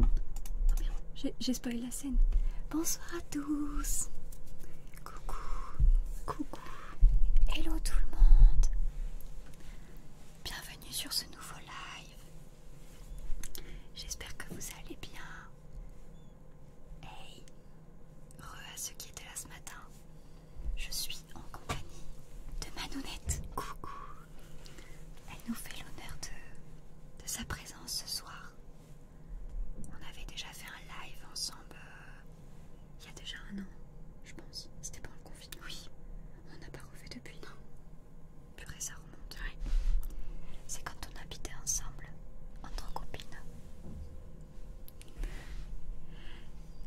Oh j'ai spoilé la scène. Bonsoir à tous. Coucou. Coucou. Hello tout le monde. Bienvenue sur ce nouveau live. J'espère que vous allez bien. Hey. Re à ceux qui étaient là ce matin. Je suis en compagnie de Manonette, Coucou. Elle nous fait l'honneur de, de sa présence ce soir. On avait déjà fait un live ensemble euh, il y a déjà un an, je pense. C'était pendant le confinement. Oui, on n'a pas refait depuis. Non. Purée, ça remonte. C'est quand on habitait ensemble, en entre copines.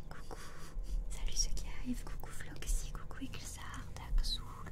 Coucou, salut ceux qui arrivent, coucou Floxy, coucou Ixar, Daxoul,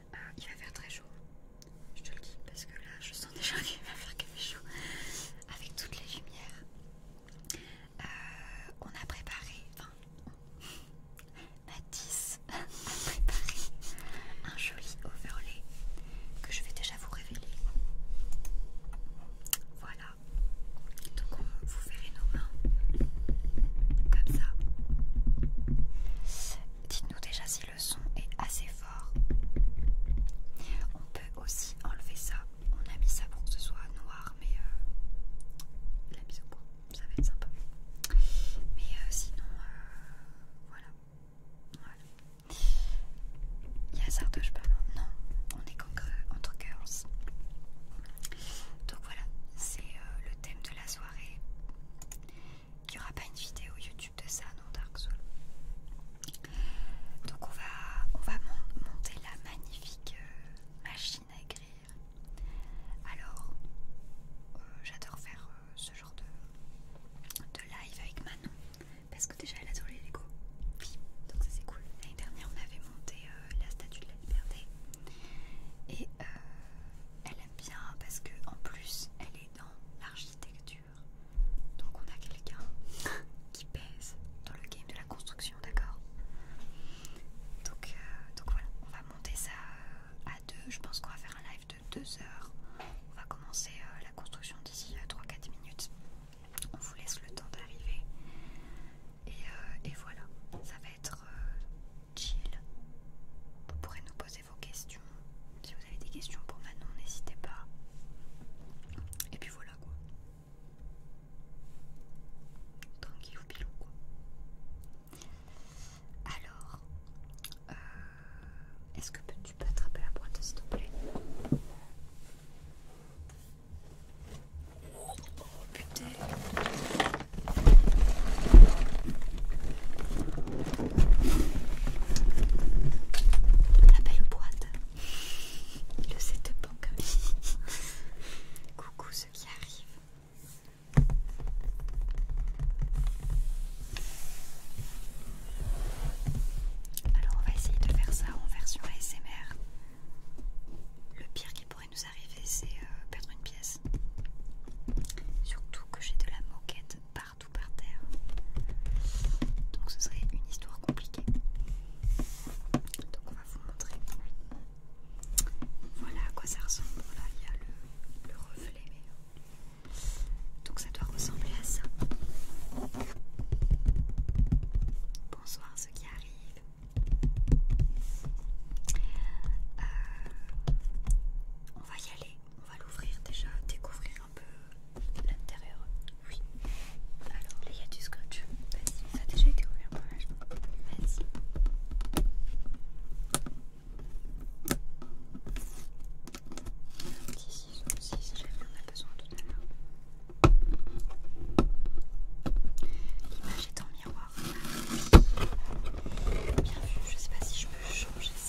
qui ah, il va faire très chaud, je te le dis, parce que là je sens déjà qu'il va faire très chaud avec toutes les lumières. Euh, on a préparé, enfin, Mathis a préparé un joli overlay que je vais déjà vous révéler. Voilà, donc vous verrez nos mains comme ça. Dites-nous déjà si le son est assez fort. On peut aussi enlever ça. On a mis ça pour que ce soit noir, mais euh, la mise au point, ça va être sympa. Mais euh, sinon, euh, voilà. voilà. Il y a Sardoche pas Non, on est entre cœurs. Donc voilà, c'est le thème de la soirée qu'il n'y aura pas une vidéo YouTube de ça, non, Dark Souls. Donc on va, on va monter la magnifique euh, machine à écrire. Alors, euh, j'adore faire euh, ce genre de, de live avec Manon. Parce que déjà elle adore les Lego. donc ça c'est cool. L'année dernière on avait monté la statue de la liberté. Et euh, elle aime bien parce que en plus elle est dans l'architecture. Donc on a quelqu'un qui pèse dans le game de la construction, d'accord donc, euh, donc voilà, on va monter ça euh, à deux. Je pense qu'on va faire un live de deux heures. On va commencer euh, la construction d'ici 3-4 minutes. On vous laisse le temps d'arriver. Et, voilà, ça va être chill. Vous pourrez nous poser vos questions. Si vous avez des questions pour maintenant, n'hésitez pas. Et puis voilà quoi. Tranquille ou pilou quoi. Alors, euh, est-ce que tu peux attraper la boîte s'il te plaît Oh putain la belle boîte. Le set banque. Coucou ce qui arrive. Alors on va essayer de faire ça en version ASMR. Le pire qui pourrait nous arriver, c'est euh, perdre une pièce. Surtout que j'ai de la moquette partout par terre. Donc ce serait une histoire compliquée. Donc on va vous montrer. Voilà à quoi ça ressemble. Voilà, il y a le, reflet. Donc ça doit ressembler à ça. Bonsoir ceux qui arrivent. Euh, on va y aller on va l'ouvrir déjà, découvrir un peu l'intérieur. Oui. Alors, il y a du scotch. Vas-y, ça a déjà été ouvert par là, Vas-y. Un aussi, si jamais on a besoin tout à l'heure. L'image est en miroir. Ah, Bien vu, je sais pas si je peux changer ça.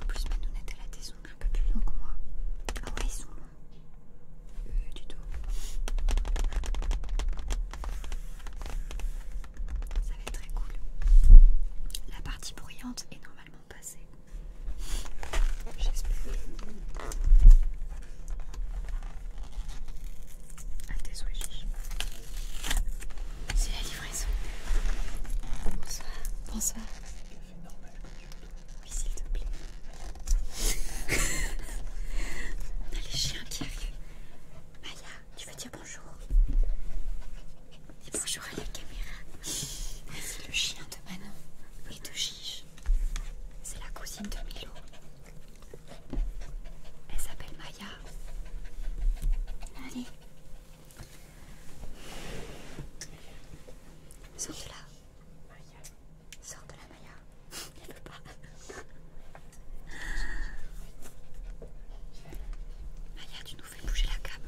En plus, ma nounette, elle a des ongles un peu plus longs que moi. Ah ouais, ils sont longs. Euh, du tout. Ça va être très cool. La partie bruyante est normalement passée. J'espère. Désolé. Ah, C'est la livraison. Bonsoir. Bonsoir. Oui, s'il te plaît. On a ah, les chiens qui arrivent. Maya, tu veux dire bonjour Et bonjour à la caméra. C'est le chien de Manon Oui, de Gige. C'est la cousine de Milo. Elle s'appelle Maya. Allez. Sors de là. Maya. Sors de la Maya. Elle veut pas. Maya, tu nous fais bouger la cam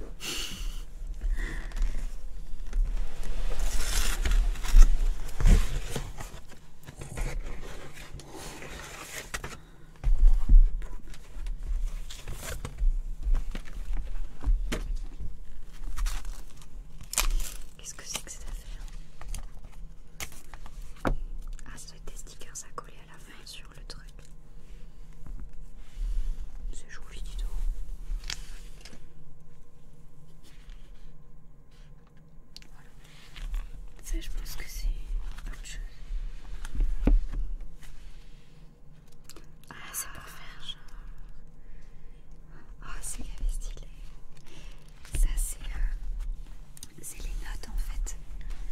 Qu'est-ce que c'est que cette affaire Ah, ça doit être des stickers à coller à la fin sur le truc. C'est joli, du tout ça, je pense que c'est autre chose. Ah, c'est pour faire genre. Oh, c'est la stylé. Ça, euh, c'est les notes en fait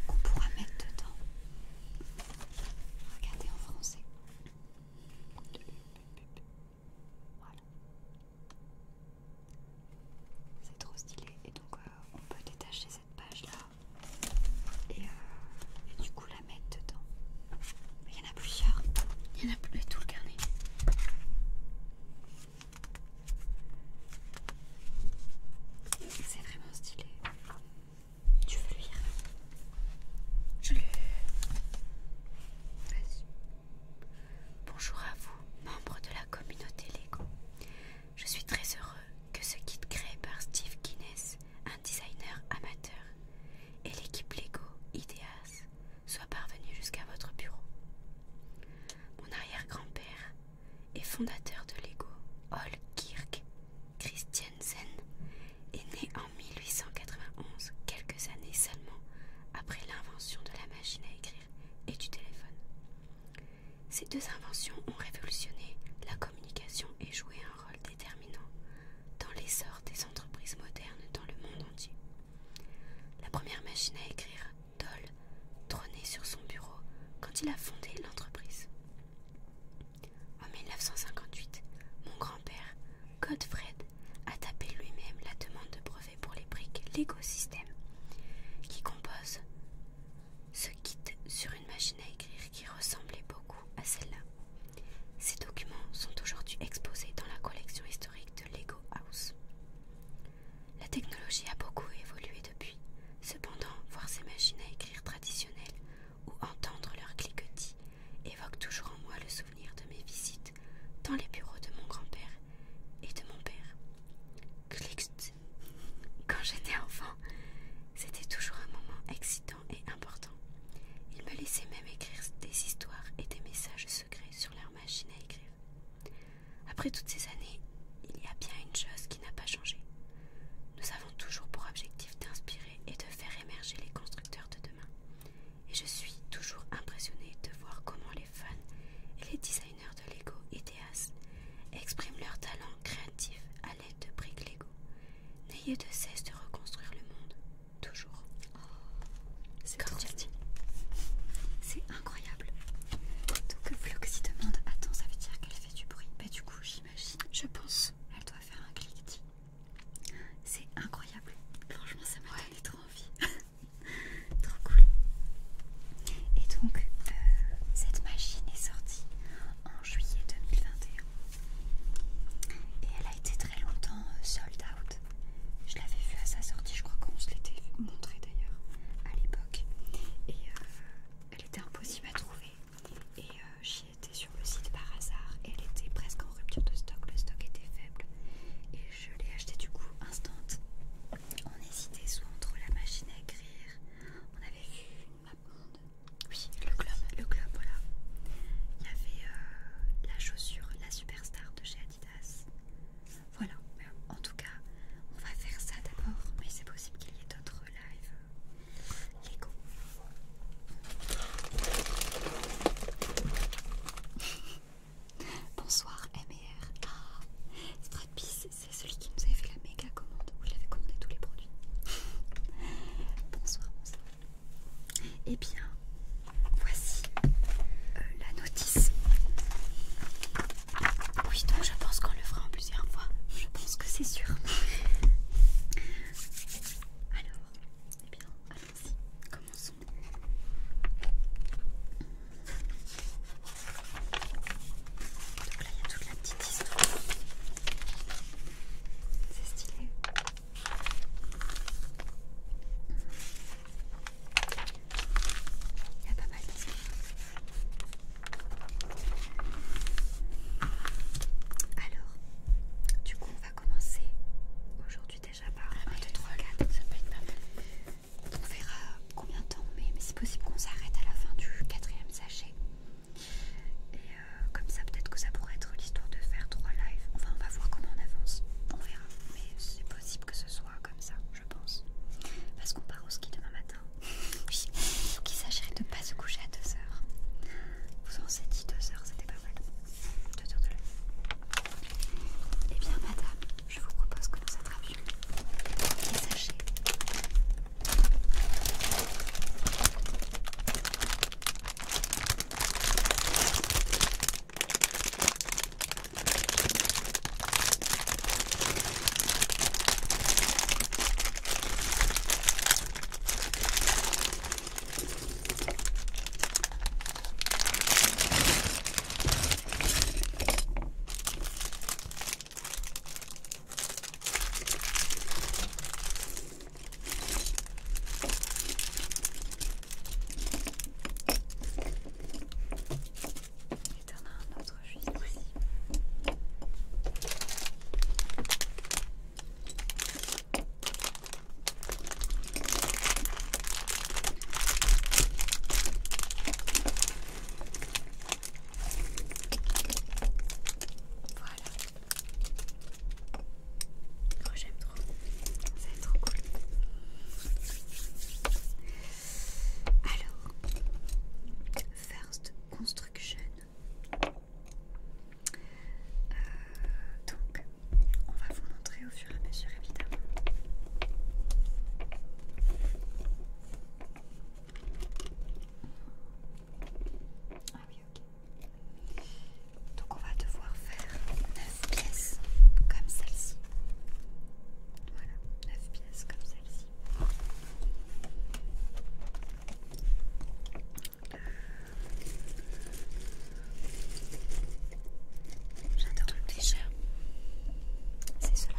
qu'on pourra mettre dedans. Regardez en français. Voilà. C'est trop stylé. Et donc, euh, on peut détacher cette page là euh, et, du coup la mettre dedans. il y en a plusieurs. Il y en a plus tout le carnet. C'est vraiment stylé. Tu veux lire Je l'ai, Vas-y. Bonjour à vous, membres de la communauté Lego. Je suis très heureux que ce kit créé par Steve Guinness, un designer amateur, et l'équipe Lego Ideas soit parvenu jusqu'à votre bureau. Mon arrière-grand-père et fondateur de Lego, Hall Kirk Christiansen, est né en 1891, quelques années seulement après l'invention de la machine à écrire et du téléphone. Ces deux inventions ont révolutionné la communication et joué un rôle déterminant dans l'essor des entreprises modernes dans le monde entier. La première machine à écrire, Doll, trônait sur son bureau quand il a fondé l'entreprise. En 1958, mon grand-père, Godfred, a tapé lui-même la demande de brevet pour les briques l'écosystème qui compose ce kit sur une machine à écrire qui ressemblait beaucoup à celle-là. Ces documents sont aujourd'hui exposés dans la collection historique de Lego House. La technologie a beaucoup évolué depuis. Cependant, voir ces machines à écrire traditionnelles ou entendre leurs cliquetis évoque toujours en moi le souvenir de mes visites dans les bureaux de mon grand-père et de mon père. Quand j'étais enfant, c'était toujours un moment excitant et important. Ils me laissaient même écrire des histoires et des messages secrets sur leur machine à écrire. Après toutes ces années, il y a bien une chose qui n'a pas changé. Nous avons toujours pour objectif d'inspirer et de faire émerger les constructeurs de demain. Et je suis toujours impressionnée de voir comment les fans et les designers Lego et Théas, expriment leur talent créatif à l'aide de briques Lego. N'ayez de cesse de reconstruire le monde, toujours. Oh, c'est incroyable. Donc Floxy demande, attends, ça veut dire qu'elle fait du bruit. Bah du coup, j'imagine, je pense, elle doit faire un clic. C'est incroyable. Franchement, ça m'a donné trop envie. Trop cool. Et donc, euh, cette machine est sortie en juillet 2021. Et elle a été très longtemps euh, sold out. Je l'avais vue à sa sortie, je crois qu'on se l'était montré d'ailleurs à l'époque. Et euh, elle était impossible à trouver. Et j'y étais sur le site par hasard. Et elle était presque en rupture de stock, le stock était faible. Et je l'ai achetée du coup instant on hésitait soit entre la machine à écrire, on avait vu Oui, le club, le globe, voilà. Il y avait euh, la chaussure, la superstar de chez Adidas. Voilà, en tout cas, on va faire ça d'abord, mais c'est possible qu'il y ait d'autres lives. Lego. Bonsoir MR. Ah, Stratpis, c'est celui qui nous avait fait la méga commande où il avait commandé tous les produits. bonsoir, bonsoir. Eh bien, voici euh, la notice. Oui, donc je pense qu'on le fera en plusieurs fois. Je pense que c'est sûr. Alors, et eh bien, allons-y, commençons. Donc là, il y a toute la petite histoire. C'est stylé. Il y a pas mal d'histoires. Alors, du coup, on va commencer aujourd'hui déjà par 1, 2, 3, 4. Ça peut être pas mal on verra combien de temps mais c'est possible qu'on s'arrête à la fin du quatrième sachet. Et euh, comme ça, peut-être que ça pourrait être l'histoire de faire trois lives. Enfin, on va voir comment on avance. On verra. Mais c'est possible que ce soit comme ça, je pense. Parce qu'on part au ski demain matin. Oui. s'agirait de ne pas se coucher à 2h. Vous en s'est dit 2h, c'était pas mal. 2h de Et Eh bien, madame, je vous propose que nous attrapions les sachets. Et t'en as un autre juste ici. Voilà. Oh, j'aime trop. C'est trop cool. Alors, First Construction. Euh, donc, on va vous montrer au fur et à mesure, évidemment. Ah oui, ok. Donc on va devoir faire 9 pièces comme celle-ci. Voilà, 9 pièces comme celle-ci. J'adore le déjà. C'est cela.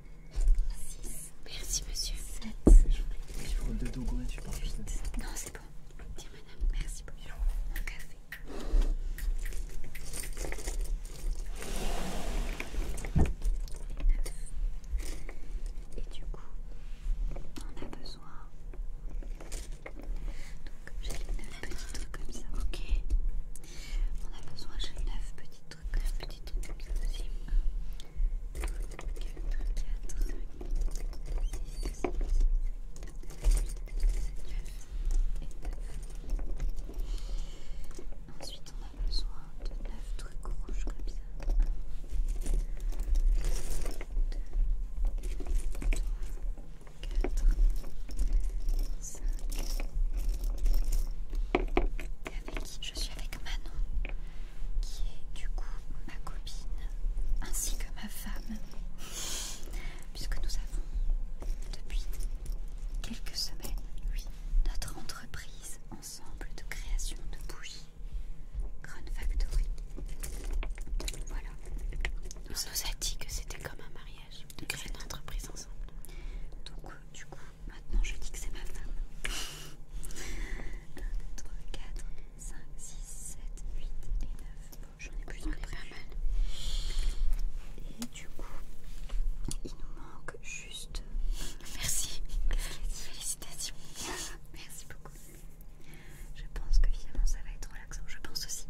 6. Merci monsieur. 7. de 8. Non, c'est bon. Tiens madame, merci beaucoup, un café. Et du coup, on a besoin. Donc, j'ai les 9 petits trucs comme ça. Ok. On a besoin, j'ai 9 petits trucs, 9 petits trucs comme ça aussi. 2, 3, 4, 4, 5, 6, 7, 8, 9 et 9. Ensuite, on a besoin de 9 trucs rouges comme ça. 1, 2, 3, 4, 5. Et avec je suis avec Manon, qui est du coup ma copine, ainsi que ma femme, puisque nous avons depuis quelques semaines, oui, notre entreprise ensemble de création de bougies, Grand Factory. Voilà. on nous a dit que c'était comme un mariage, de créer une entreprise ensemble du coup, maintenant je dis que c'est ma femme. 1, 2, 3, 4, 5, 6, 7, 8 et 9. Bon, j'en ai plus que pas mal. Et du coup, il nous manque juste. Euh, Merci. Félicitations. Merci beaucoup. Je pense que finalement ça va être relaxant. Je pense aussi.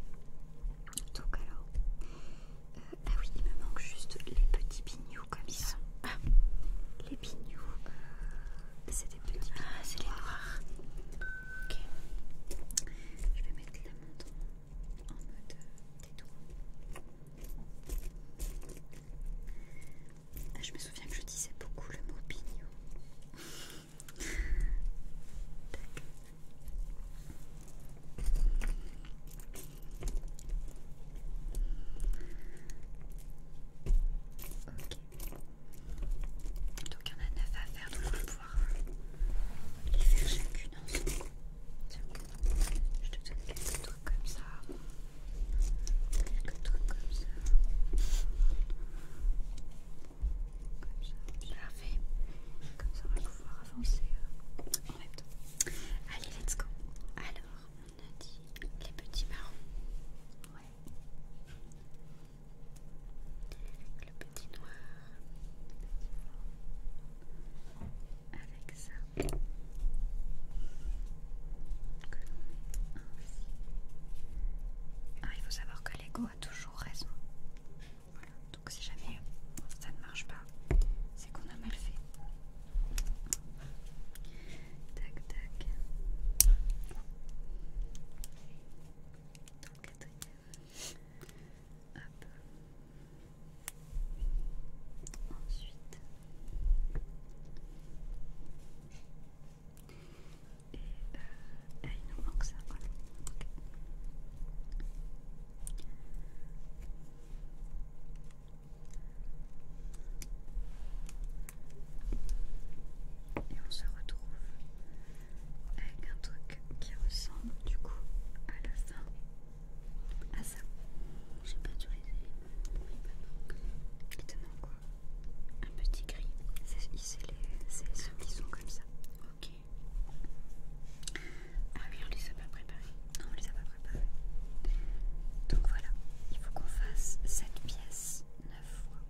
Donc alors, euh, ah oui, il me manque juste les petits pignoux comme ça. Ah. Les pignous, ah, c'est des petits Ah, c'est les noirs. Ok. Je vais mettre la montre en mode euh, détour. Ah, je me souviens que je disais beaucoup le mot pignou. Ok. Donc il y en a 9 à faire, donc on va pouvoir euh, les faire chacune ensemble. Tiens, je te donne quelques trucs comme ça. Quelques trucs comme ça. Comme ça. Parfait. Comme ça on va pouvoir avancer euh, en même temps. Allez, let's go. Alors, on a dit les petits marrons. Ouais. Le petit noir. Avec ça. Que l'on Ah, il faut savoir que l'ego a toujours raison. Donc si jamais ça ne marche pas, c'est qu'on a mal fait. Tac, tac. Donc, quatrième. Hop. Ensuite. Et, euh, il nous manque ça, voilà. Okay. Et on se retrouve avec un truc qui ressemble du coup à la fin à ça. J'ai pas tout essayé. Il quoi Un petit gris. C'est ceux qui sont comme ça. Ok. Ah oui, on les a pas préparés. Non, on les a pas préparés. Donc voilà, il faut qu'on fasse cette pièce 9 fois.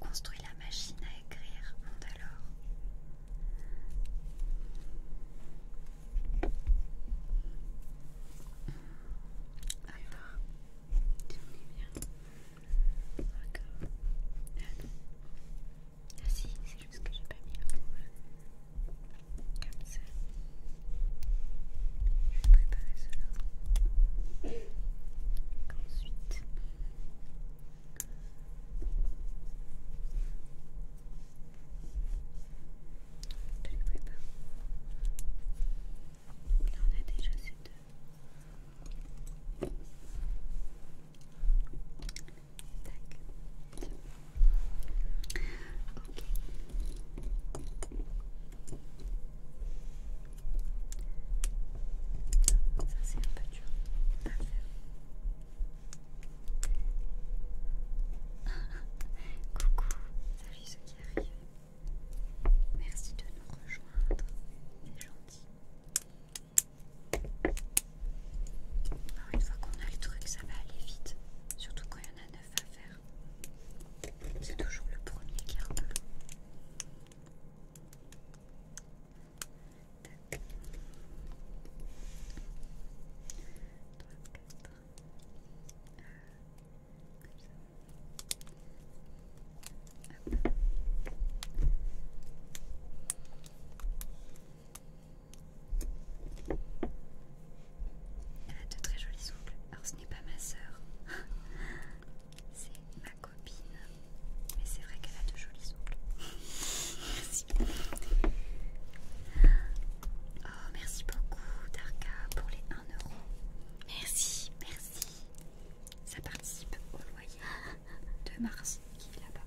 On construit la machine à écrire, à alors. Alors, tu me bien. D'accord. Ah si, c'est juste que j'ai pas mis la rouge. Comme ça. Je vais préparer cela. Ensuite. Je les prépare. Là on a déjà ces deux. Ça, c'est un peu dur à faire. Coucou, salut ce qui arrive. Merci de nous rejoindre, c'est gentil. Alors une fois qu'on a le truc, ça va aller vite. Surtout quand il y en a neuf à faire. C'est toujours le premier qui repart. Elle a de très jolis souples, Alors ce n'est pas ma sœur, c'est ma copine. Mais c'est vrai qu'elle a de jolis souples, merci. Oh, merci beaucoup Darka pour les 1€. Merci, merci. Ça participe au loyer de Mars qui vit là-bas.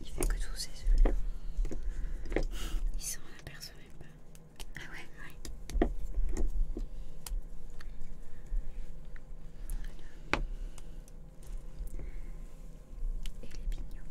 Il fait que tous ces yeux. Ils s'en aperçoivent pas. Ah ouais, ouais. Et les pignons.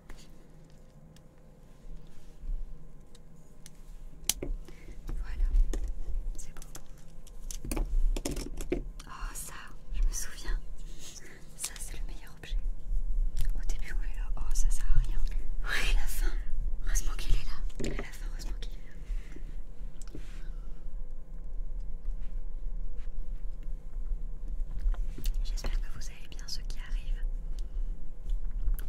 Voilà, c'est bon. Oh ça, je me souviens. Ça c'est le meilleur objet. Au début on est là, oh ça sert à rien. Ouais, la fin. Heureusement qu'il est là. À la fin, heureusement qu'il est là. J'espère que vous savez bien ce qui arrive.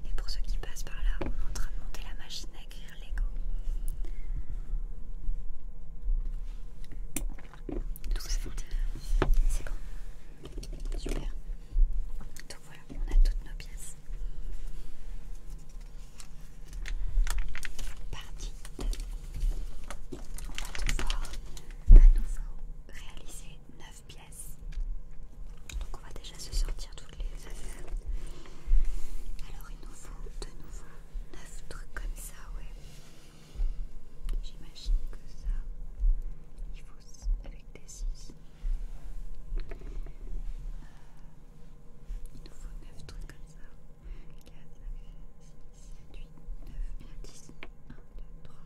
Et pour ceux qui passent par là, on est en train de monter la machine à écrire Lego. Tout ça C'est bon. Super. Donc voilà, on a toutes nos pièces. Partie 2. On va devoir à nouveau réaliser 9 pièces. Donc on va déjà se sortir toutes les affaires. Alors il nous faut de nouveau 9 trucs comme ça, ouais. J'imagine que ça, il faut avec des 6. Euh, il nous faut 9 trucs comme ça. 4, 5, 6, 7, 8, 9, 10, 1, 2, 3,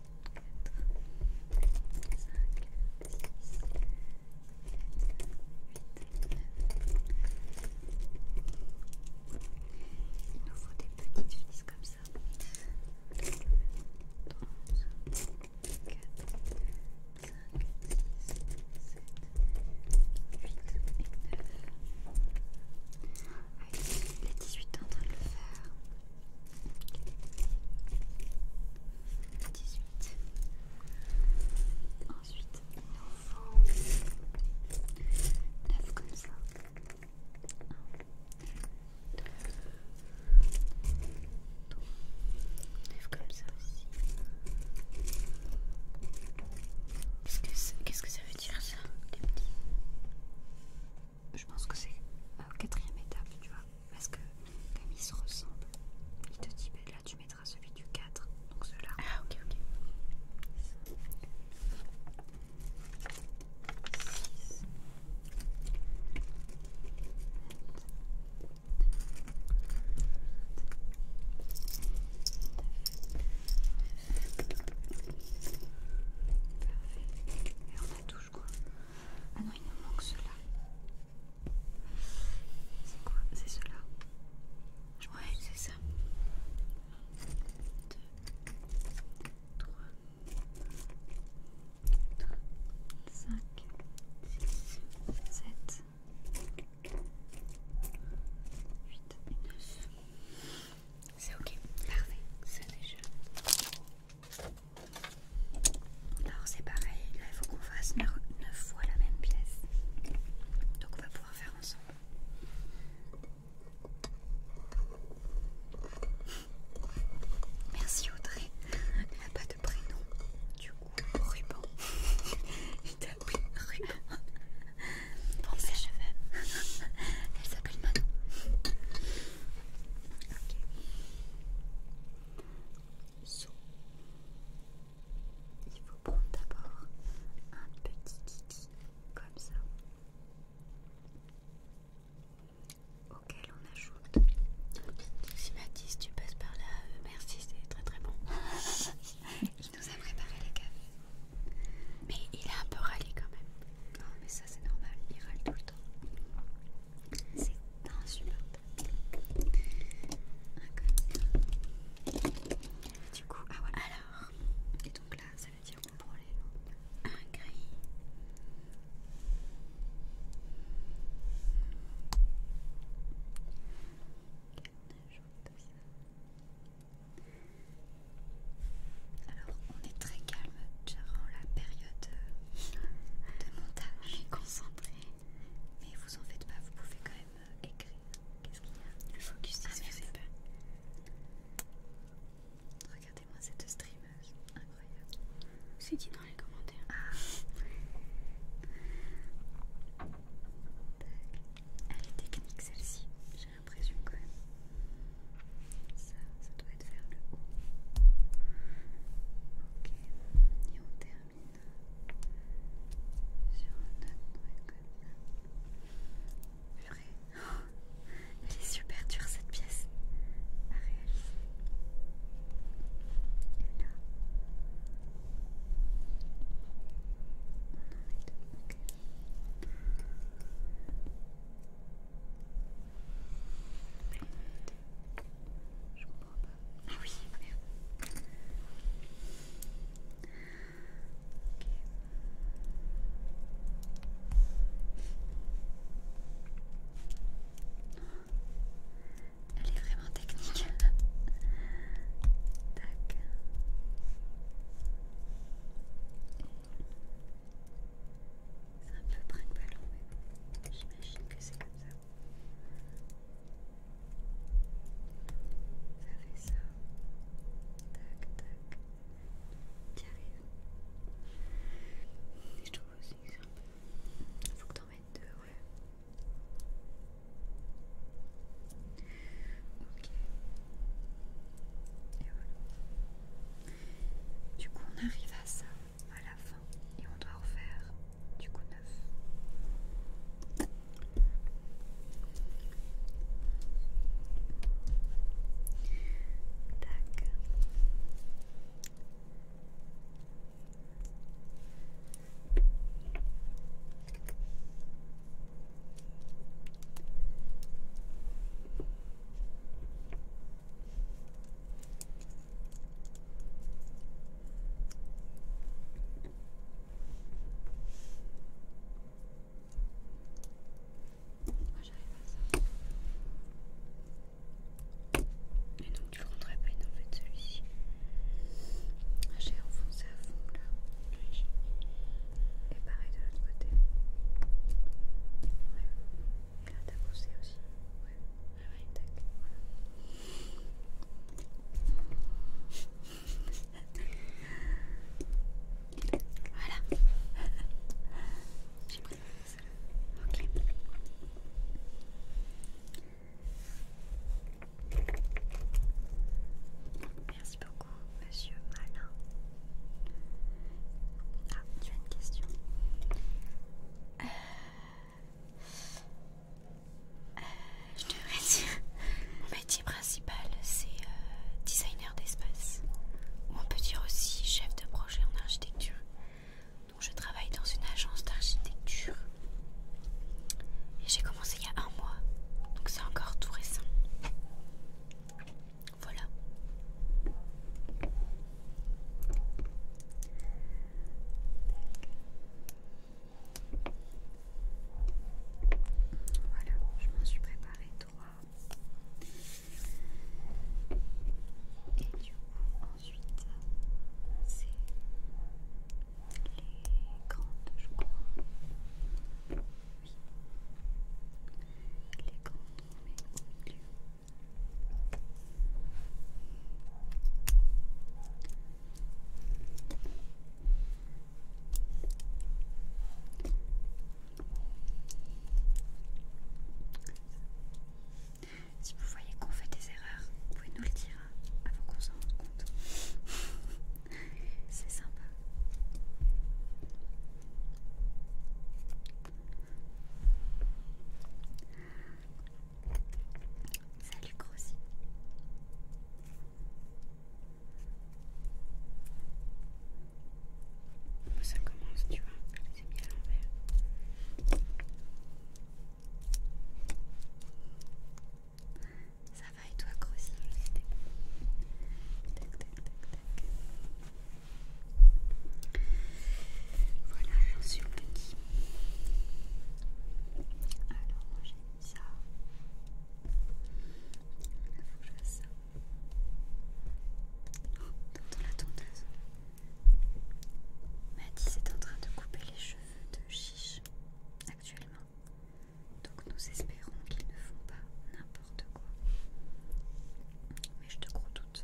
4, 5, 6, 7, 8, 9. Il nous faut des petites filets comme ça. 2, 3, 4, 5, 6, 7, 8, 9. Allez, les 18 ans, on va le faire. Ensuite, un comme ça. neuf comme ça aussi. Qu'est-ce que, que ça veut dire ça, les je pense que c'est la quatrième étape, tu vois, parce que comme ils se ressemblent, il te dit là tu mettras celui du 4, donc cela. Ah ok ok. Et on a toujours ah non, il nous manque cela. C'est quoi C'est cela Ouais, c'est ça. 1 2, 3, 4, 5, 6, 7, 8 et 9. C'est ok, parfait, c'est déjà. Alors c'est pareil, là il faut qu'on fasse 9 fois la même pièce. Donc on va pouvoir faire ensemble. Merci Audrey. Elle n'a pas de prénom. Du coup, ruban. Il t'a ruban. Pour mes cheveux. Elle s'appelle Manon. Ok. Il faut prendre d'abord un petit kiki comme ça auquel on ajoute si Mathis tu passes par là euh, merci c'est très très bon il nous a préparé les cafés mais il a un peu râlé quand même non, ah, mais ça c'est normal, il râle tout le temps. C'est insupportable. du coup, ah voilà. Alors, et donc là, ça veut dire qu'on prend les un gris. Alors, on est très calme durant la période euh, de montage. Concentré. Mais vous en faites pas, vous pouvez quand même euh, écrire. Qu'est-ce qu'il y a Le focus, vous ah, Regardez-moi cette streameuse, incroyable. C'est dit dans les commentaires. Ah. Elle est technique celle-ci, j'ai l'impression quand même. Ça, ça doit être vers le haut. Ok, et on termine sur un autre truc comme super dure cette pièce à Ok. Je comprends pas. Ah oui, merde. Ok. Elle est vraiment technique. Tac. C'est un peu brin de ballon, mais j'imagine que c'est comme ça. Ça fait ça. Tac, tac. T'y arrives. Et je trouve aussi que c'est un peu. Faut que t'en mettes deux, ouais. Ok. Et voilà. Du coup, on arrive à ça à la fin et on doit refaire du coup neuf. Tac. Moi j'arrive à ça. Et donc tu le rentres à peine en fait celui-ci. Ah, j'ai enfoncé à fond là. Et pareil de l'autre côté. Ah, t'as poussé aussi Ouais, ah ouais, tac, voilà. voilà. J'ai préféré celle-là. Ok. Merci beaucoup, monsieur Malin. Ah, tu as une question. Euh, je devrais dire. Mon métier principal, c'est euh, designer d'espace. Ou on peut dire aussi chef de projet en architecture. Donc je travaille dans une agence d'architecture. Et j'ai commencé il y a un mois. Donc c'est encore tout récent. Voilà. Voilà, je m'en suis préparé trois. Et du coup, ensuite, c'est les grandes, je crois. Les grandes, on au milieu. Si vous voyez qu'on fait des erreurs, vous pouvez nous le dire hein, avant qu'on s'en rende compte. C'est sympa. Salut Crossy. Ça commence, tu vois, c'est bien à l'envers. Ça va et toi, Crossy Tac, tac, tac, tac. Voilà, j'en suis le Alors, moi j'ai mis ça. Il faut que je fasse ça. Oh, t'entends la tondeuse. Maddy est en train de couper les cheveux de Chiche actuellement. Donc nous espérons qu'ils ne font pas n'importe quoi. Mais je te crois toute.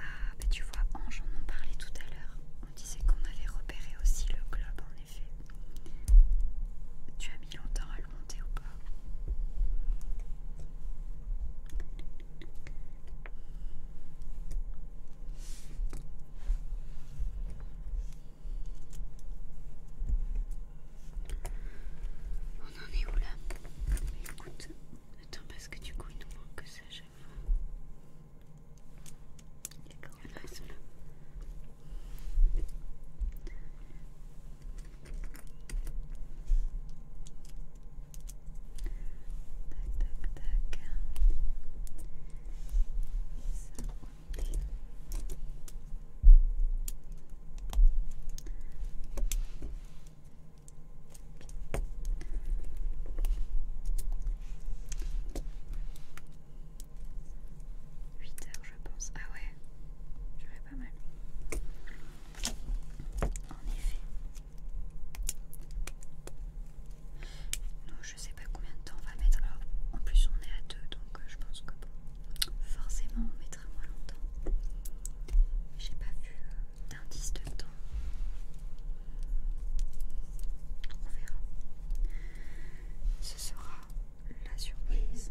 Ah, bah tu vois, Ange, on en parlait tout à l'heure. On disait qu'on avait repéré aussi le globe, en effet. Tu as mis longtemps à le monter ou pas on en est où là Écoute, attends parce que du coup il nous manque que ça à chaque fois. D'accord. Ah ils sont là. Tac tac tac. Et ça. 8 heures je pense. Ah ouais, je vais pas mal. En effet je sais pas combien de temps on va mettre. Alors, en plus, on est à deux, donc euh, je pense que forcément, on mettra moins longtemps. J'ai pas vu euh, d'indice de temps. On verra. Ce sera la surprise.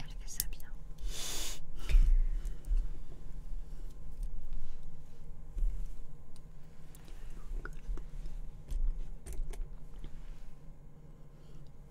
Elle fait ça bien.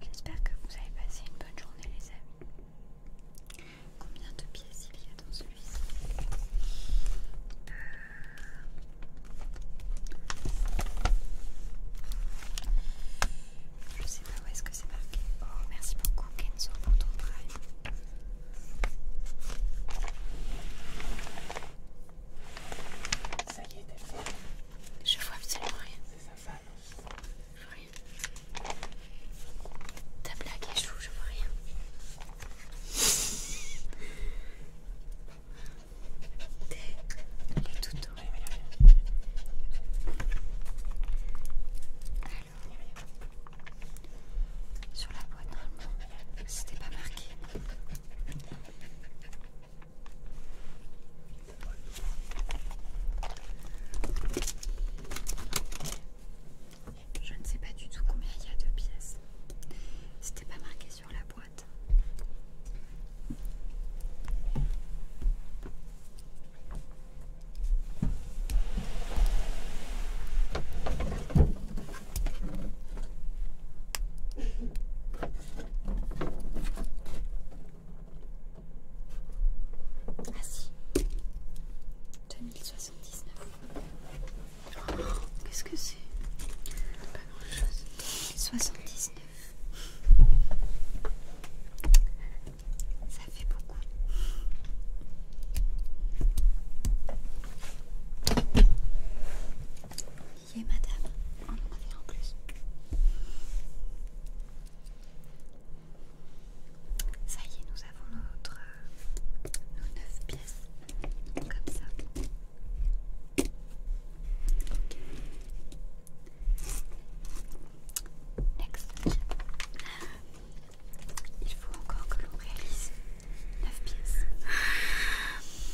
J'espère que vous avez passé une bonne journée les amis. Combien de pièces il y a dans celui-ci euh, Je sais pas où est-ce que c'est marqué. Oh merci beaucoup Kenzo pour ton prime. Ça y est, t'as fait. Je vois absolument rien. C'est sa non Je vois rien. Ta blague échoue, je vois rien. T'es tout y Alors, sur la boîte, normalement, c'était pas marqué. Je ne sais pas du tout combien il y a de pièces. C'était pas marqué sur la boîte. Ah si 2079 Qu'est-ce que c'est Pas grand chose 2079 Ça fait beaucoup voyez madame, on en avait en plus. Ça y est, nous avons notre, euh, nos 9 pièces, comme ça. OK. Next. Il faut encore que l'on réalise 9 pièces.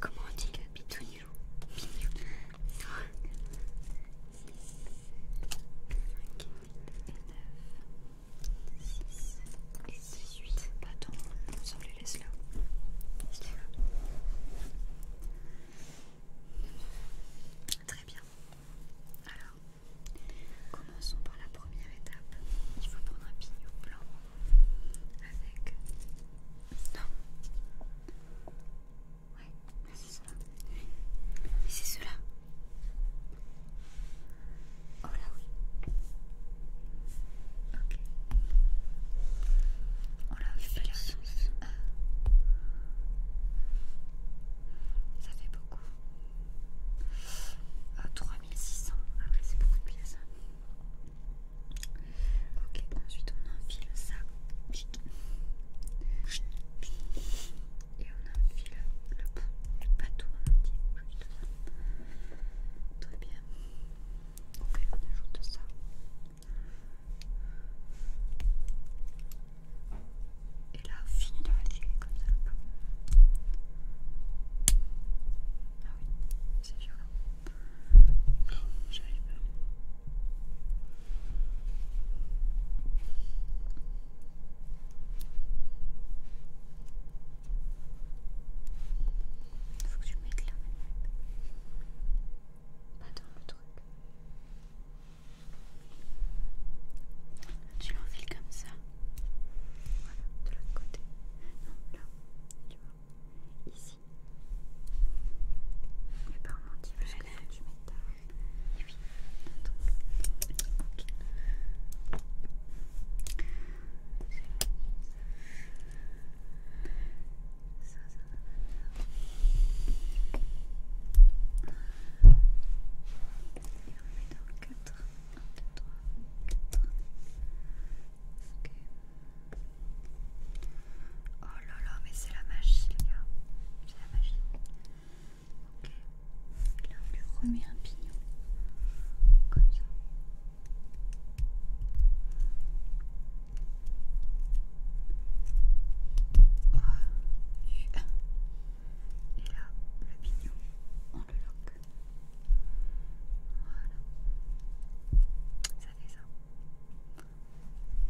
Comment on dit que pignou Pignou 3, 4, 5, 6, 7, 8, 9, 6, 7, 8, pas tant, on s'en les laisse là. Très bien. Alors, commençons par la première étape il faut prendre un pignou blanc avec. Non. Ouais, c'est cela. Mais c'est cela. Oh là oui. Ok. Oh là, fait pas la ah. Ça fait beaucoup. Ah, 3600. Ah c'est beaucoup de pièces. Hein. Ok, ensuite on enfile ça. Et on enfile le, du bateau en entier, Très bien. Ok, on ajoute ça. Et là, on finit de retirer comme ça. Ah oui, c'est violent. Il j'arrive Faut que tu mettes la manette. Pas dans le truc. Tu l'enfiles comme ça. Voilà, de l'autre côté. Non, là, tu vois ici. Mais par mon dieu, je vais tu m'étonnes. Oui. Donc, ok. Ça, ça va bien. Et on met dans le 4, 1, 2, 3, 4. Ok. Oh là là, mais c'est la magie, les gars. C'est la magie. Ok. là, on lui remet un pignon. Comme ça. Et ah, là, le pignon, on le loque. Voilà. Ça fait ça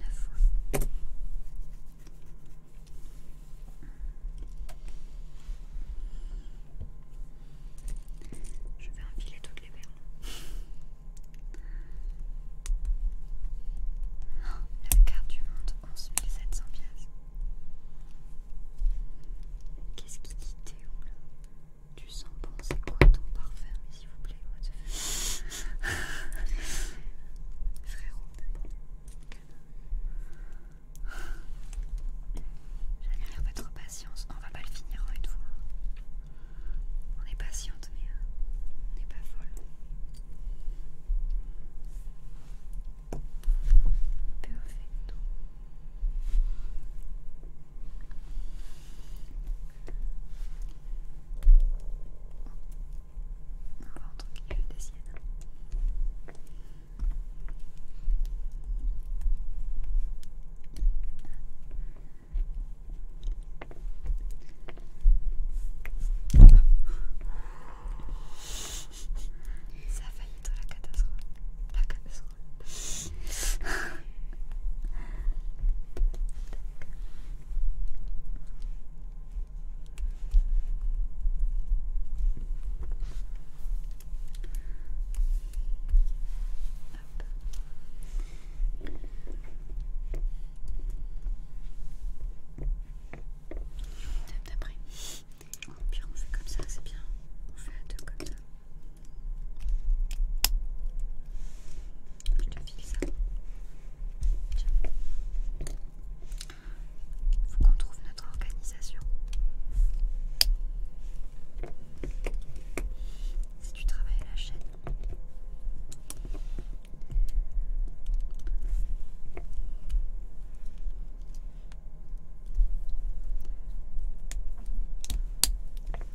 neuf Je vais enfiler toutes les verres. la carte du monde, 11 700 pièces. Qu'est-ce qui dit Théo là tu sens bon, c'est quoi ton parfum, s'il vous plaît What the fuck Frérot, j'admire votre patience. On va pas le finir en hein, une fois. On est patiente, mais hein, on n'est pas folle. On va entendre quelque chose des siennes. Ça a failli être la catastrophe. La catastrophe d'après. puis on fait comme ça, c'est bien. On fait à deux comme je Faut qu'on trouve notre organisation. Si tu travailles la chaîne.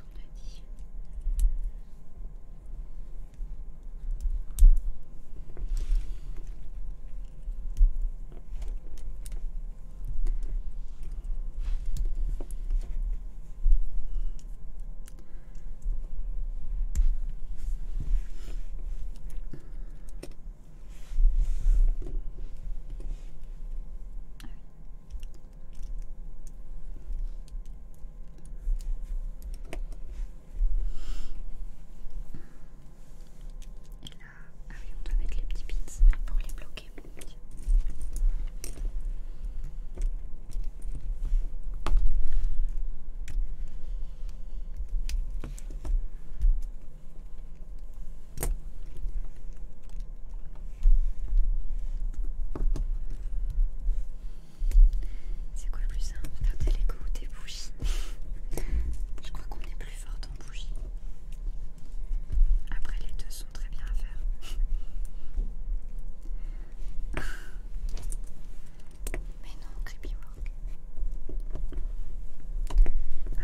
on a dit ah oui, on doit mettre les petits pins pour les bloquer. C'est quoi le plus simple Regardez l'écho ou tes bougies Je crois qu'on est plus fort en bougies. Après, les deux sont très bien à faire. Mais non, creepy work.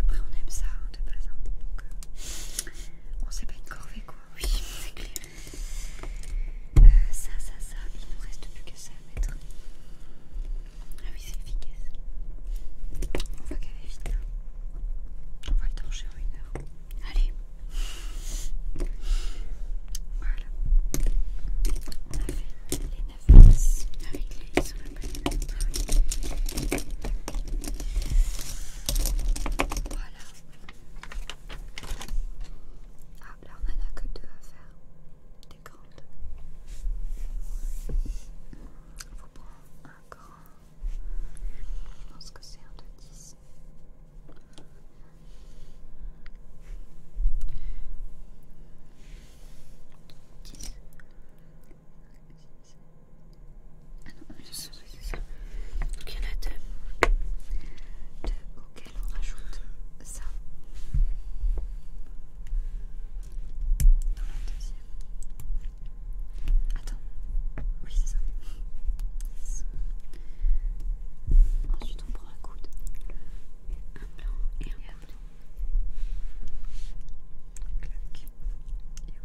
Après, on aime ça hein, de base. Hein. Donc, euh, on sait pas une corvée quoi oui, c'est clair. Euh, ça, ça, ça, il ne reste plus qu'à ça à mettre. Ah oui, c'est efficace. On va est vite. Hein. On va le torcher en une heure. Allez. Voilà. On a fait les 9 passes avec les sur la palette. Voilà. Ah, là on en a que deux à faire. Des grandes. Faut prendre un grand. Je pense que c'est un de 10. Ah je suis donc il y en a deux, deux auxquels on rajoute ça. Dans la deuxième. Attends, oui, c'est ça. Ensuite, on prend un coude, un blanc et un bleu. Clac. Et un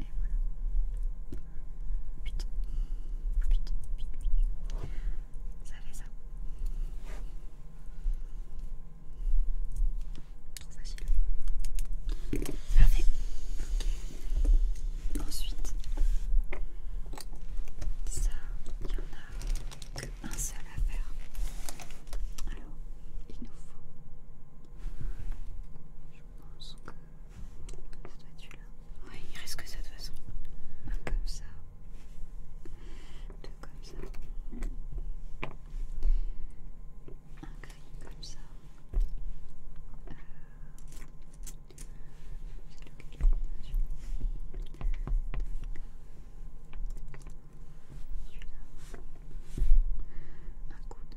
Et voilà. Ça fait ça. facile. Parfait. Ensuite, ça, il n'y en a qu'un seul à faire. Alors, il nous faut. Je pense c'est toi être celui-là. Oui, il reste que ça de toute façon. Un comme ça. Deux comme ça. Un gris comme ça. Euh, c'est lequel celui-là Celui-là Un coude.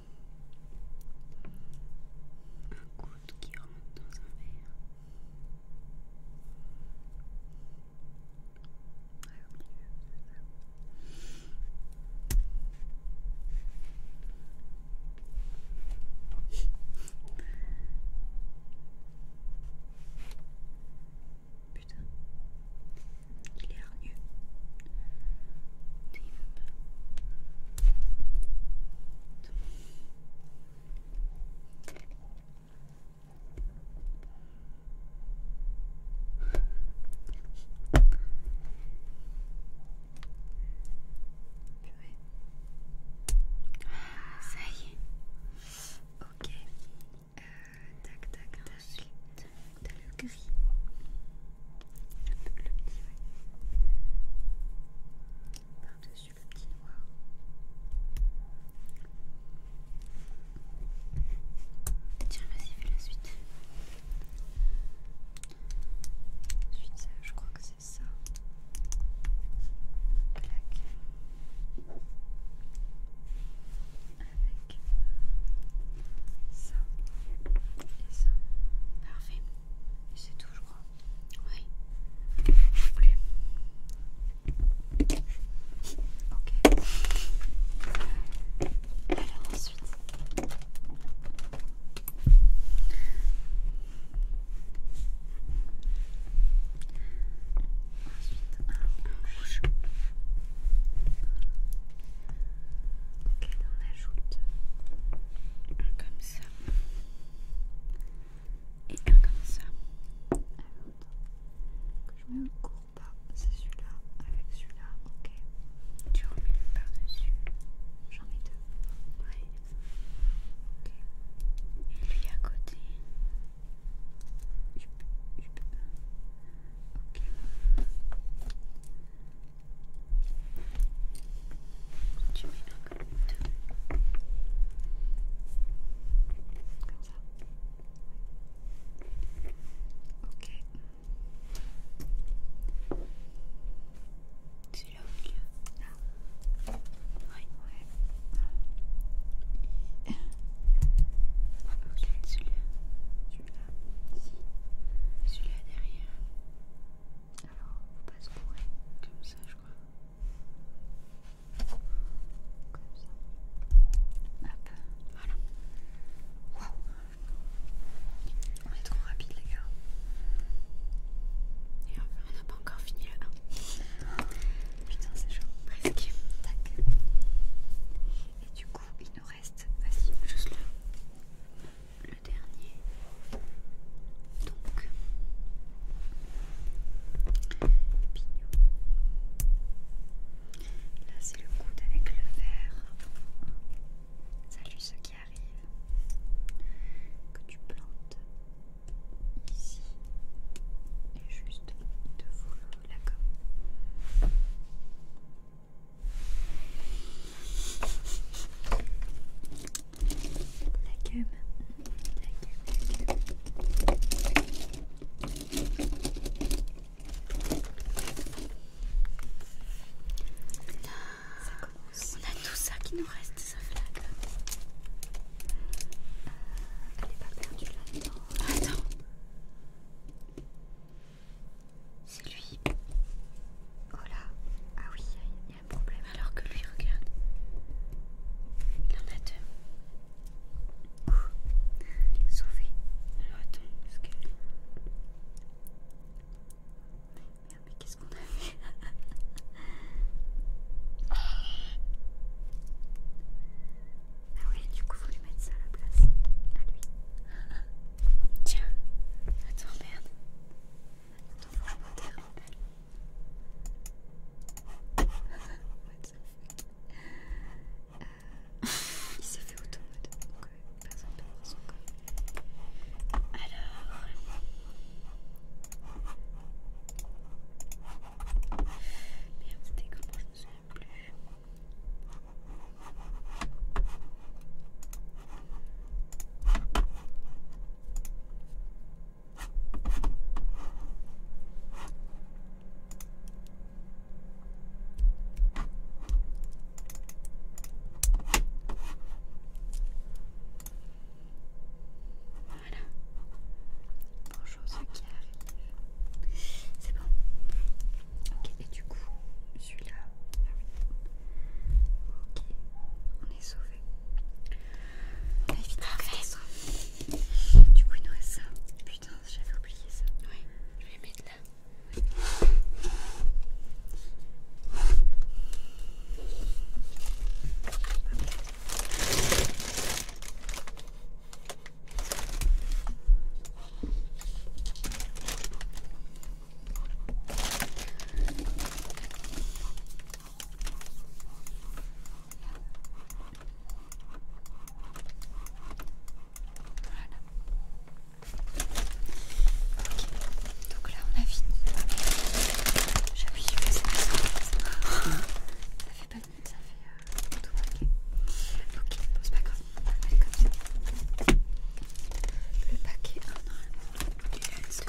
Un goutte qui rentre dans un verre. Ah, au milieu, Putain, il est hargneux. Ça y est. Ok. tac, tac, tac. le gris le, petit, oui. Par-dessus le petit noir. Tiens, vas-y, fais la suite. suite ça, je crois que c'est ça. Plaque. Avec ça et ça. Parfait. Et c'est tout, je oui. Non plus. Ok. Alors ensuite. Ensuite, un rouge. Ok, on ajoute un comme ça. Et un comme ça. que je mets le cours pas, c'est celui-là avec celui-là, ok. Tu remets le par-dessus. J'en ai deux. Ouais. Ok. Et lui à côté. Tu mets un comme Comme ça. Ok. Celui-là au Là. Oui. Ah. Ouais. Ok, celui-là. Celui-là derrière. Alors, faut pas se bourrer. Comme ça, je crois. Comme ça. Hop, voilà. Waouh! On est trop rapide, les gars. Et on n'a pas encore fini le 1. Putain, c'est chaud. Presque. Tac. Et du coup, il nous reste. Vas-y, juste là le dernier. Donc, pignon. Là, c'est le coude avec le verre. Salut ce qui arrive. Que tu plantes ici et juste devant la gomme. La cube. La cube, la Là, ça commence. On a tout ça qui nous reste, ça flaque. elle n'est pas perdue là-dedans. Attends. C'est lui. Oh là. Ah oui, il problème alors que lui regarde. Il en a deux. Sophie, Alors attends, parce que. mais qu'est-ce qu'on a fait Ah oui, du coup, faut lui mettre ça à la place. À lui. Tiens, attends, merde euh, il s'est fait automode, donc euh, personne ne peut voir son corps. Alors. Merde, c'était comment je me souviens plus. Voilà. Bonjour ceux qui arrivent. C'est bon. Ok, et du coup, celui-là. Ah ok, on est sauvé. Du coup, il nous reste ça. Putain, j'avais oublié ça. Oui, je vais mettre là. Ok, donc là on a fini. J'appuie sur ça. Ça fait pas de ça fait tout paquet. Ok, pas grave. On va comme ça. Le paquet,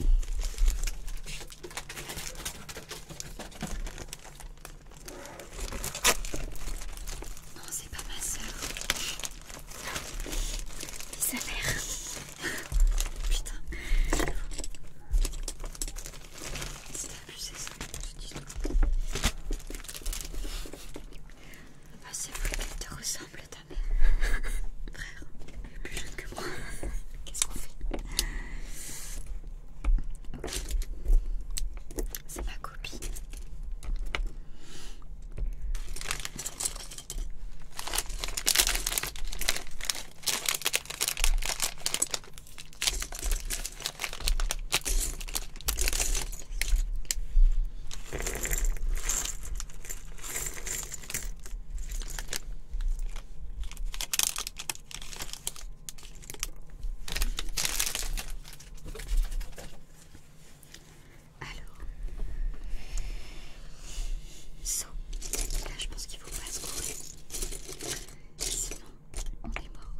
Non, c'est pas ma soeur. Et sa mère. Putain. C'est abusé ça, cette histoire. Ah, c'est plus qu'elle te ressemble. Frère, il est plus jeune que moi. Qu'est-ce qu'on fait C'est ma copie. Alors, so, là je pense qu'il faut pas se courir, sinon on est mort.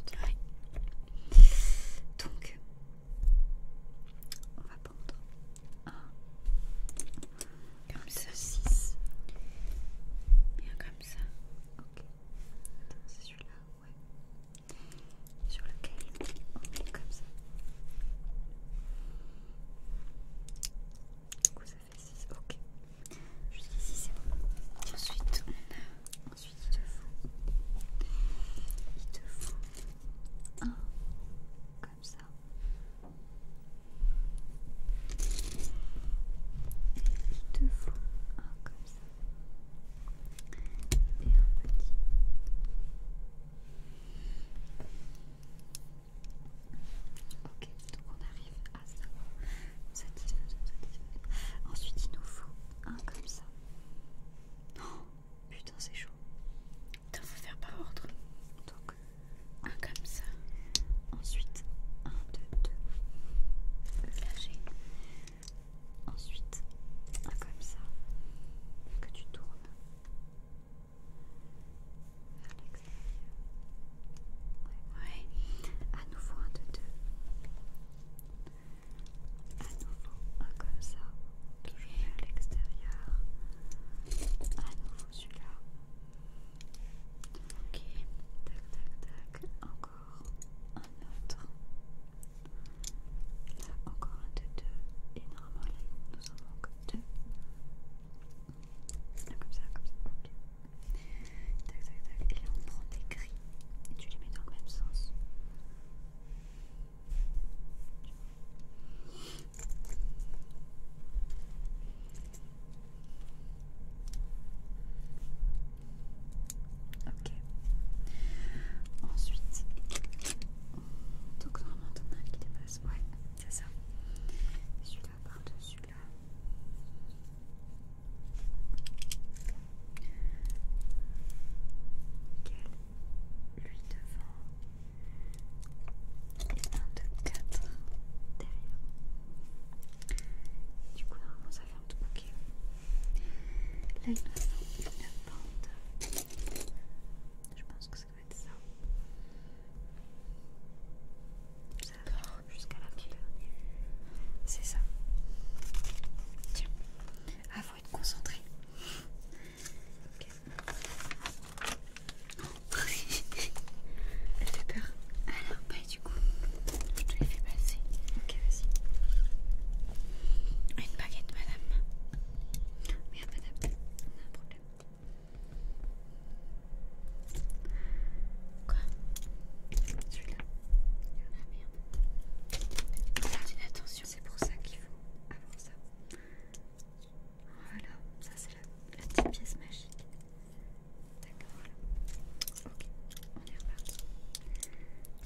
Donc, on va prendre un, comme ça. 6. Bien comme ça. Ok. Attends, C'est celui-là, ouais. Sur lequel Ok, comme ça. Du ça fait 6. Ok. Jusqu'ici, c'est bon. ensuite, on a. Ensuite, il te faut. Il comme ça. Il te faut un comme ça et un petit. Ok, donc on arrive à ça. Ensuite, il nous faut un comme ça. Oh, putain, c'est chaud il faut faire par ordre. Donc, un comme ça. Ensuite, un, deux, deux. Lâcher. Ensuite, un comme ça. Que tu tournes. Vers l'extérieur. Ouais. À nouveau, un, deux, deux. À nouveau, un comme ça. Toujours vers l'extérieur. À nouveau, celui-là. Ok, tac tac tac, encore un autre. Là, encore un de deux. Et normalement, nous en manque deux. Là, comme ça, comme ça, ok. Tac tac tac, et là, on prend des gris et tu les mets dans le même sens. Ok. Ensuite, donc normalement ton un qui dépasse, ouais, c'est ça. Celui-là par-dessus là. Ok. Lui devant et 1, 2, 4 derrière. Du coup, normalement, ça fait un tout. bouquet. Là, il nous reste une bande. Je pense que ça va être ça. Ça va faire jusqu'à la pile. C'est ça. Tiens. Ah, faut être concentré. Ok. Oh. Elle fait peur. Alors, ah, bah du coup, je te l'ai fait passer. Ok, vas-y. Une baguette, madame. Merde, madame, on a un problème. Quoi Celui-là Ah merde. attention, c'est pour ça qu'il faut avoir ça. Voilà, ça c'est la, petite pièce magique. D'accord, voilà. Ok, on y reparti.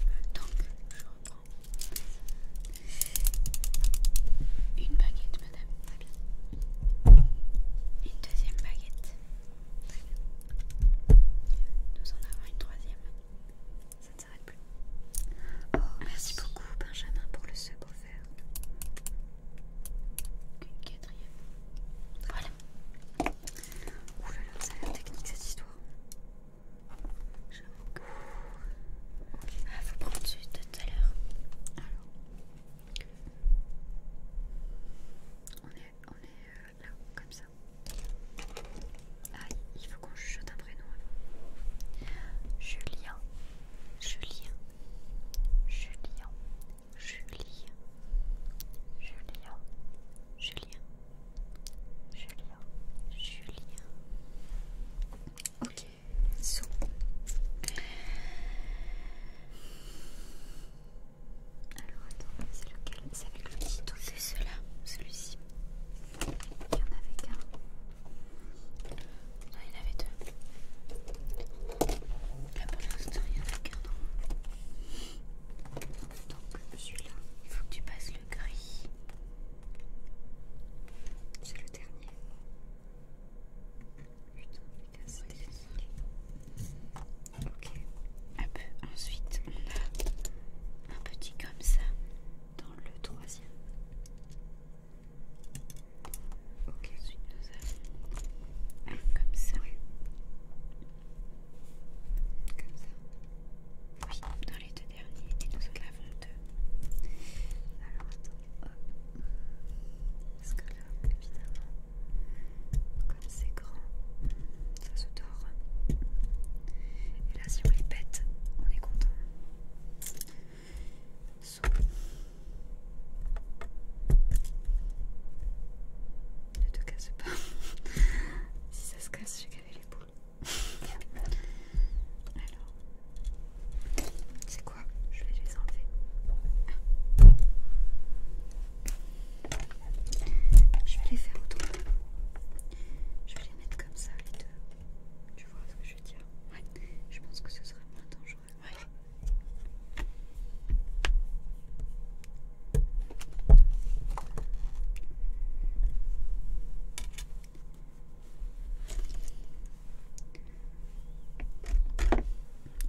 Euh, donc, je reprends. Une baguette, madame. Une deuxième baguette. Nous en avons une troisième. Ça ne s'arrête plus. Oh, merci beaucoup, Benjamin, pour le second faire quatrième. Voilà. Ouh là là, ça a l'air technique cette histoire. J'avoue que. Elle vous ah, prendre tout à l'heure. Alors. On est, on est euh, là, comme ça. Ah, il faut qu'on jette un prénom avant. Julien. Julien. Julien. Julie, Julien, Julien, Julien, Julien. Ok, son Alors attends, c'est lequel C'est avec le petit tout C'est celui-ci. Il y en avait qu'un. Non, il y en avait deux il n'y en a qu'un Donc celui-là, il faut que tu passes le gris. C'est le dernier. Putain, il Ok. Hop, ensuite on a un petit comme ça dans le troisième. Ok. Ensuite, nous allons, comme ça. Oui. Comme ça. Oui, dans les deux derniers, et nous en avons deux. Alors attends, hop. Parce que là, évidemment, comme c'est grand, ça se dort, Et là, si on les pète, on est content ne te casse pas si ça se casse j'ai gavé les boules alors c'est quoi je vais les enlever je vais les faire autrement je vais les mettre comme ça les deux tu vois ce que je veux dire ouais. je pense que ce serait moins dangereux Ouais.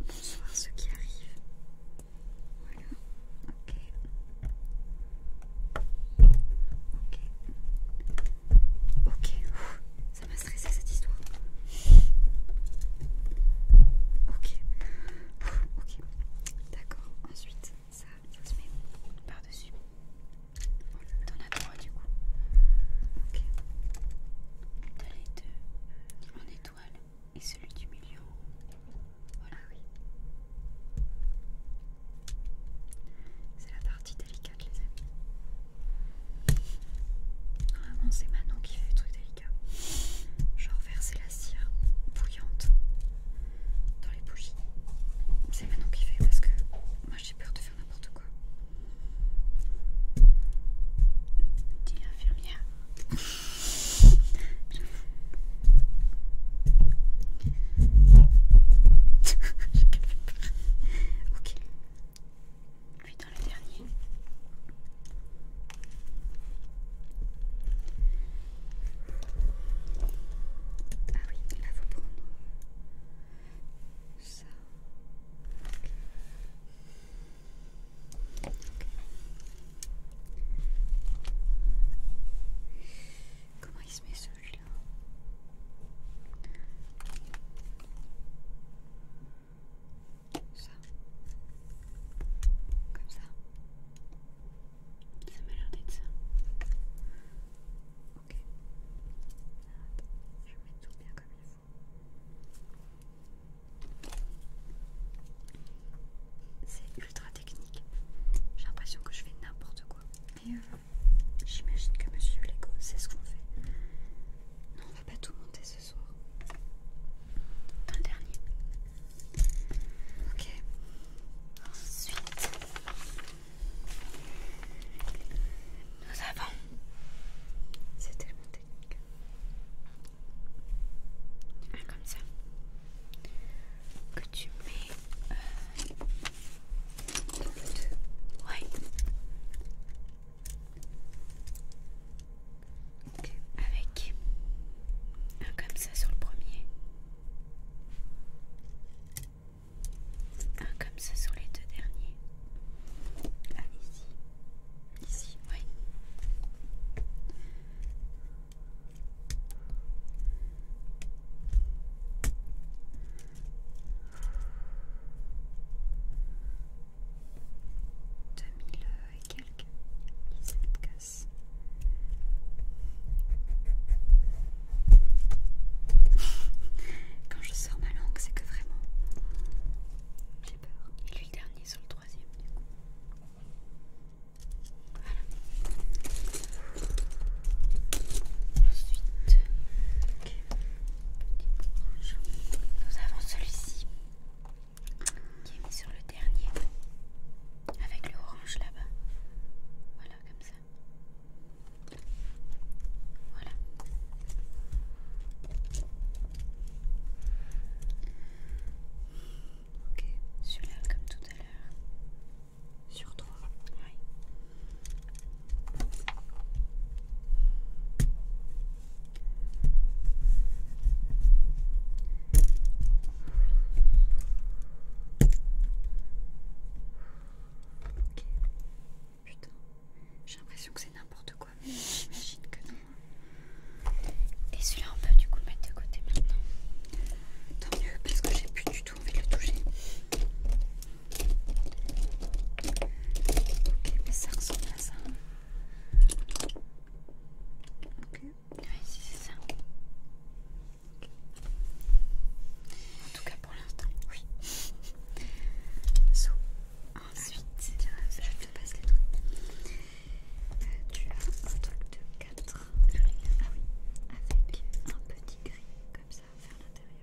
Bonsoir ceux qui arrivent. Voilà. Ok. Ok. Ok. ça m'a stressé cette histoire. Ok, ok, d'accord. Ensuite, ça, se met par-dessus. on a trois du coup. Ok. T'as les deux en étoile et celui du milieu. Voilà, ah oui. C'est la partie délicate, les amis. Vraiment, c'est Manon qui fait le truc. délicat je Genre verser la cire bouillante dans les bougies. C'est maintenant qu'il fait parce que moi j'ai peur de faire n'importe quoi. Dis l'infirmière. ok, puis dans le dernier. Ah oui, là faut prendre ça. Comment il se met celui-là ça, comme ça. Ça m'a l'air d'être ça. Ok. Je mets tout bien comme il faut. C'est ultra technique. J'ai l'impression que je fais n'importe quoi. Mais euh, j'imagine que Monsieur Lego, sait ce qu'on fait. Non, on va pas tout monter ce dernier. Ok. Ensuite, nous avons. C'est tellement technique. comme ça. Que tu mets euh, avec un ah, comme ça sur le premier, un ah, comme ça sur les deux derniers, 2000 euh, et quelques, se casse. Quand je sors ma langue, c'est que vraiment j'ai peur. Et lui, dernier sur le troisième, du coup. Voilà. Ensuite, nous avons celui-ci qui est mis sur le dernier avec le orange là-bas. Voilà, comme ça. Voilà. Ok, celui-là comme tout à l'heure. Sur trois Oui j'ai l'impression que c'est n'importe quoi, mais j'imagine que non. Et celui-là, on peut du coup le mettre de côté maintenant. Tant mieux, parce que j'ai plus du tout envie de le toucher. Ok, mais ça ressemble à ça. Ok. ici c'est ça. En tout cas pour l'instant, oui. So, ensuite, je te passe les trucs. tu as un truc de 4 Ah oui, avec un petit gris comme ça vers l'intérieur.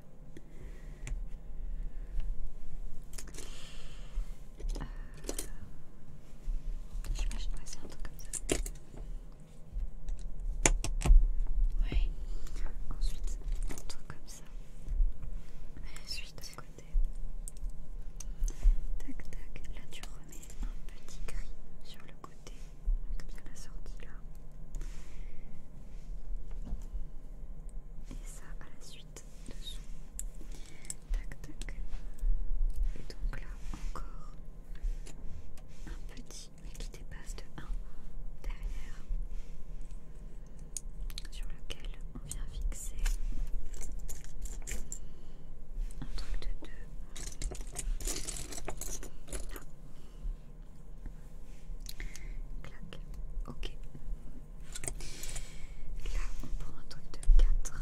Euh, J'imagine que c'est un truc comme ça. Ouais. Ensuite, un truc comme ça. Ensuite, à côté. Tac, tac. Là, tu remets un petit gris sur le côté. Comme ça, la sortie là. Et ça à la suite dessous. Tac, tac. Et donc là, encore un petit, mais qui dépasse de 1 derrière, sur lequel on vient fixer un truc de 2. Là. Clac, ok. Là, on prend un truc de 4.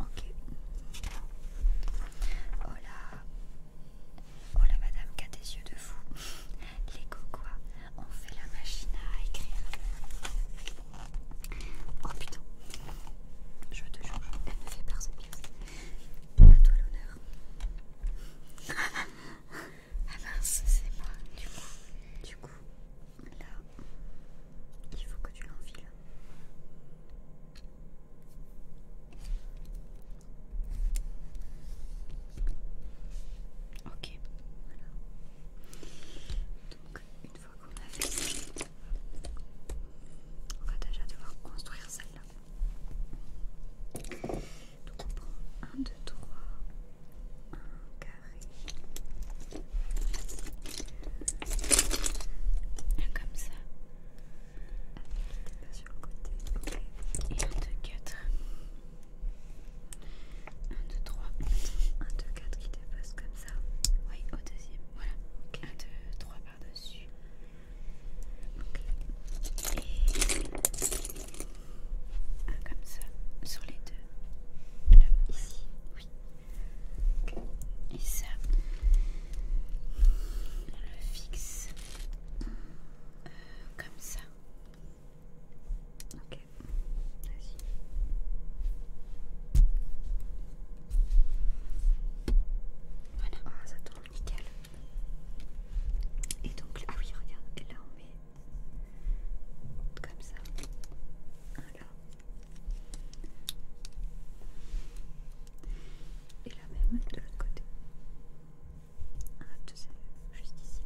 Ok. Oh là. Oh la madame qui a des yeux de fou. Les coquins ont fait la machine à écrire. Oh putain. Je te jure, elle me fait peur ses pièce. À toi l'honneur. ah mince, c'est moi. Du coup, du coup, Là, il faut que tu l'enfiles. Ok, voilà. Donc, une fois qu'on a fait ça, on va déjà devoir construire celle-là. Donc, on prend un, deux, trois, un carré, comme ça. Pas sur le côté. 1, 2, 4. 1, 2, 3. 1, 2, 4 qui dépasse comme ça. Oui, au deuxième. Voilà. 1, 2, 3 par-dessus. Okay. Et comme ça. Sur les deux. Là, ici. Oui et ça on le fixe euh, comme ça ok vas-y voilà ah, ça tourne nickel et donc ah oui regarde et là on met comme ça voilà et la même de l'autre côté. Ah, tu sais, juste ici.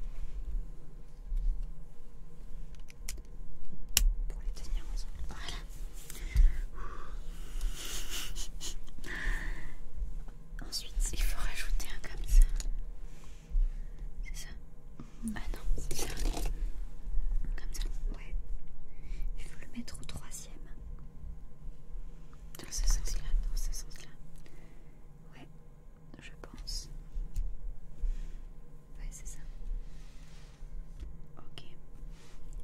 Pour les tenir ensemble. Voilà. Ensuite, il faut rajouter un comme ça. C'est ça Ah non, c'est ça. Comme ça. Ouais. Il faut le mettre au troisième. Dans ce sens-là, dans ce sens-là. Ouais, je pense. Ouais, c'est ça. Ok.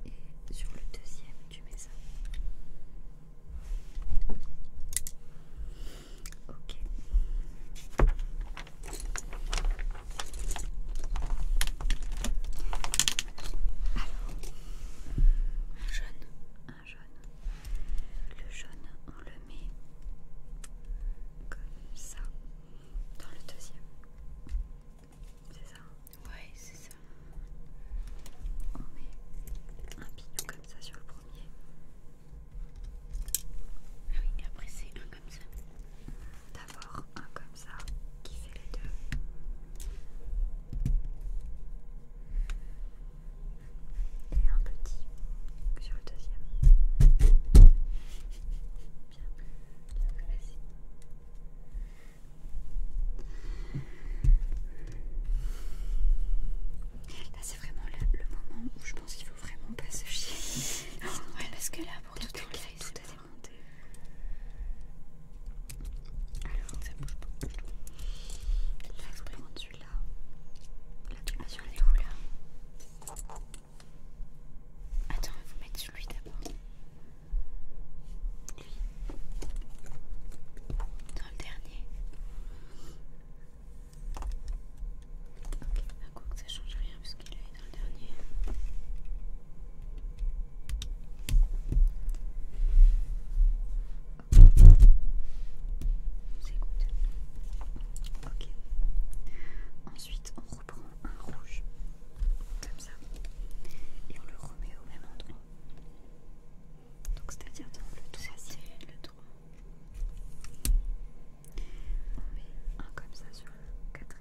Et sur le deuxième, tu mets ça. Ok. Alors, un jaune, un jaune. Le jaune, on le met comme ça dans le deuxième. C'est ça Ouais, c'est ça. On met un pignon comme ça sur le premier. Ah oui, après c'est un comme ça. D'abord un comme ça qui fait les deux. Et un petit sur le deuxième. Bien. Là c'est vraiment le, moment où je pense qu'il faut vraiment pas se chier. ouais, parce que là pour tout, le à alors, ça bouge pas. Je vais expérimenter celui-là. Là, tu vas sur les roues là. Attends, on va vous mettre celui d'abord. Lui. Dans le dernier. Ok, à quoi que ça change rien puisque dans le dernier. C'est good. Ok. Ensuite, on reprend un rouge, comme ça, et on le remet au même endroit. Donc, c'est-à-dire dans le tout c'est le 3. On met un comme ça sur le quatrième.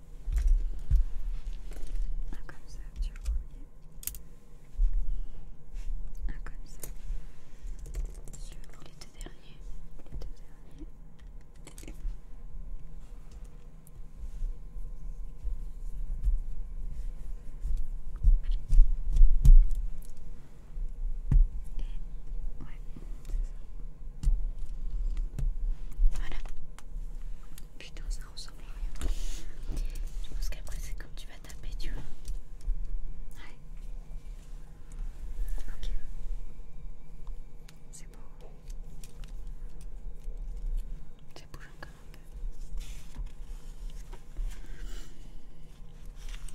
Un comme ça, tu le premier. Un comme ça. Sur les deux Et ouais, c'est ça. Voilà. Putain, ça ressemble à rien. Je pense qu'après, c'est comme tu vas taper, tu vois. Ouais. Ok. C'est beau. Ça bouge encore un peu.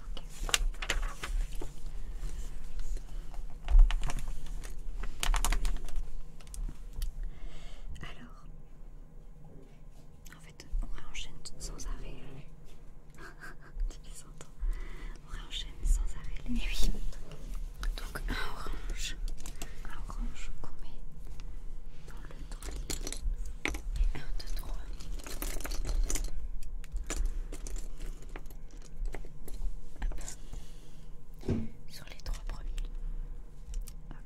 Ok. Alors, en fait, on réenchaîne sans arrêt. on réenchaîne sans arrêt les Donc un orange, un orange qu'on met dans le Et un, de trois. Sur les trois premiers. Ok.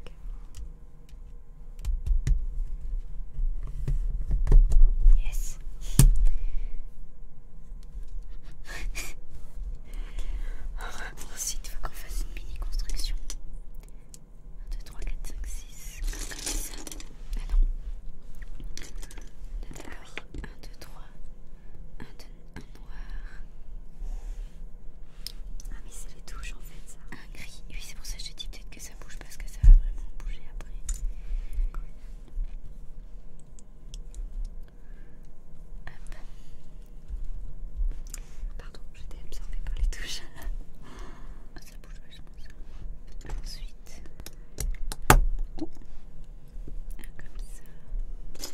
Yes. Ensuite, il faut qu'on fasse une mini construction. 1, 2, 3, 4, 5, 6. Ah non. D'accord. 1, 2, 3. 1, 2, 1, noir. Ah, mais c'est les touches en fait, ça. Un gris, oui, c'est pour ça que je te dis peut-être que ça bouge parce que ça va vraiment bouger après. Pardon, j'étais absorbée par les touches. ah, ça bouge je pense Ensuite, ah, comme ça.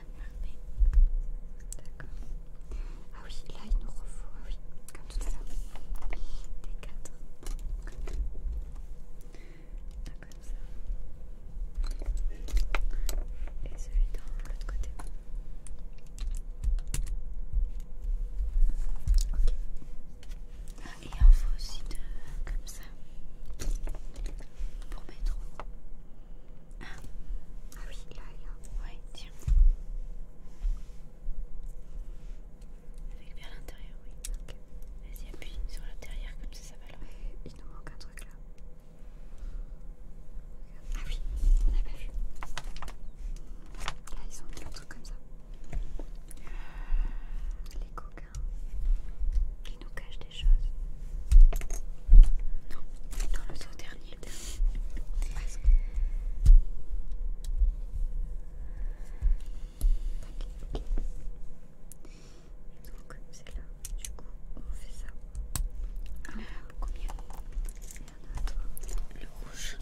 D'accord. Ah oui, là il nous refaut. Ah oui, comme tout à l'heure. Des quatre. comme ça. Et celui dans l'autre côté. Ok. Et il en faut aussi deux comme ça. Pour mettre au ah. oui, là, là. Ouais, tiens. Avec vers l'intérieur, oui. Vas-y, appuie sur l'intérieur comme ça, ça va Il nous manque un truc là. Ah oui, on a pas vu. Là, ils ont mis un truc comme ça. Les coquins. Ils nous cachent des choses. Non, dans le dernier, Écoute. Presque. Ok okay. Donc c'est là. Du coup, on fait ça. combien beaucoup mieux. Et un autre Le rouge.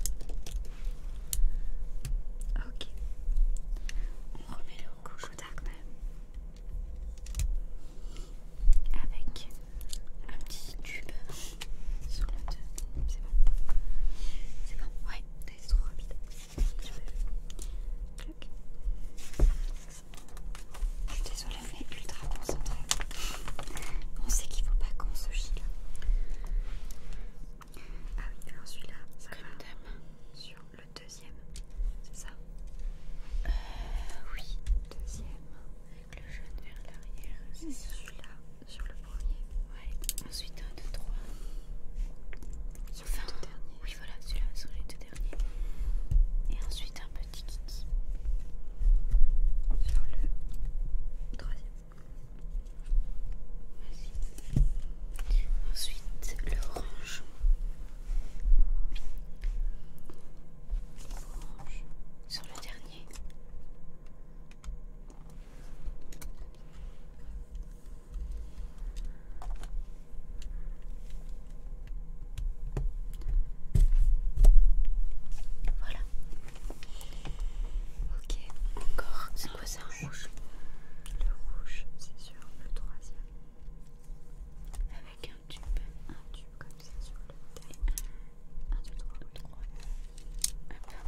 Ok. On remet le rouge au dark même. Avec un petit tube sur le deux. C'est bon. C'est bon. Ouais, c'est trop rapide. Je Je suis désolée, on est ultra concentré. On sait qu'il faut pas qu'on se chie là. Ah oui, alors celui-là, ça va sur le deuxième. C'est ça euh, Oui, deuxième le jaune vers l'arrière. C'est celui-là, sur le premier. Ouais. Ensuite, un deux trois, Sur enfin, le dernier. Oui, voilà, celui-là, sur les deux derniers. Et ensuite, un petit kiki. Sur le troisième. Ensuite, le orange Sur le dernier. Voilà. Ok, encore. C'est quoi ça Le rouge. Le rouge, c'est sur le troisième. Avec un tube. Un tube comme ça sur le taille 1, 2, 3, 3. Tac, tac, tac.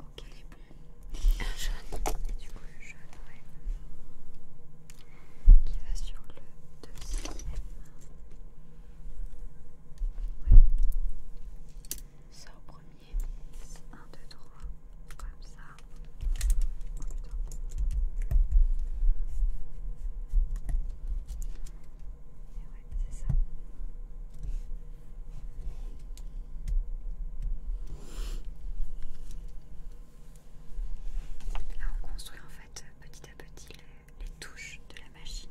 Ok, il jaune. du coup, le jaune, Qui va sur le deuxième. oui Ça au premier. 1, 2, 3. Comme ça. Là, on construit en fait euh, petit à petit les, touches de la machine.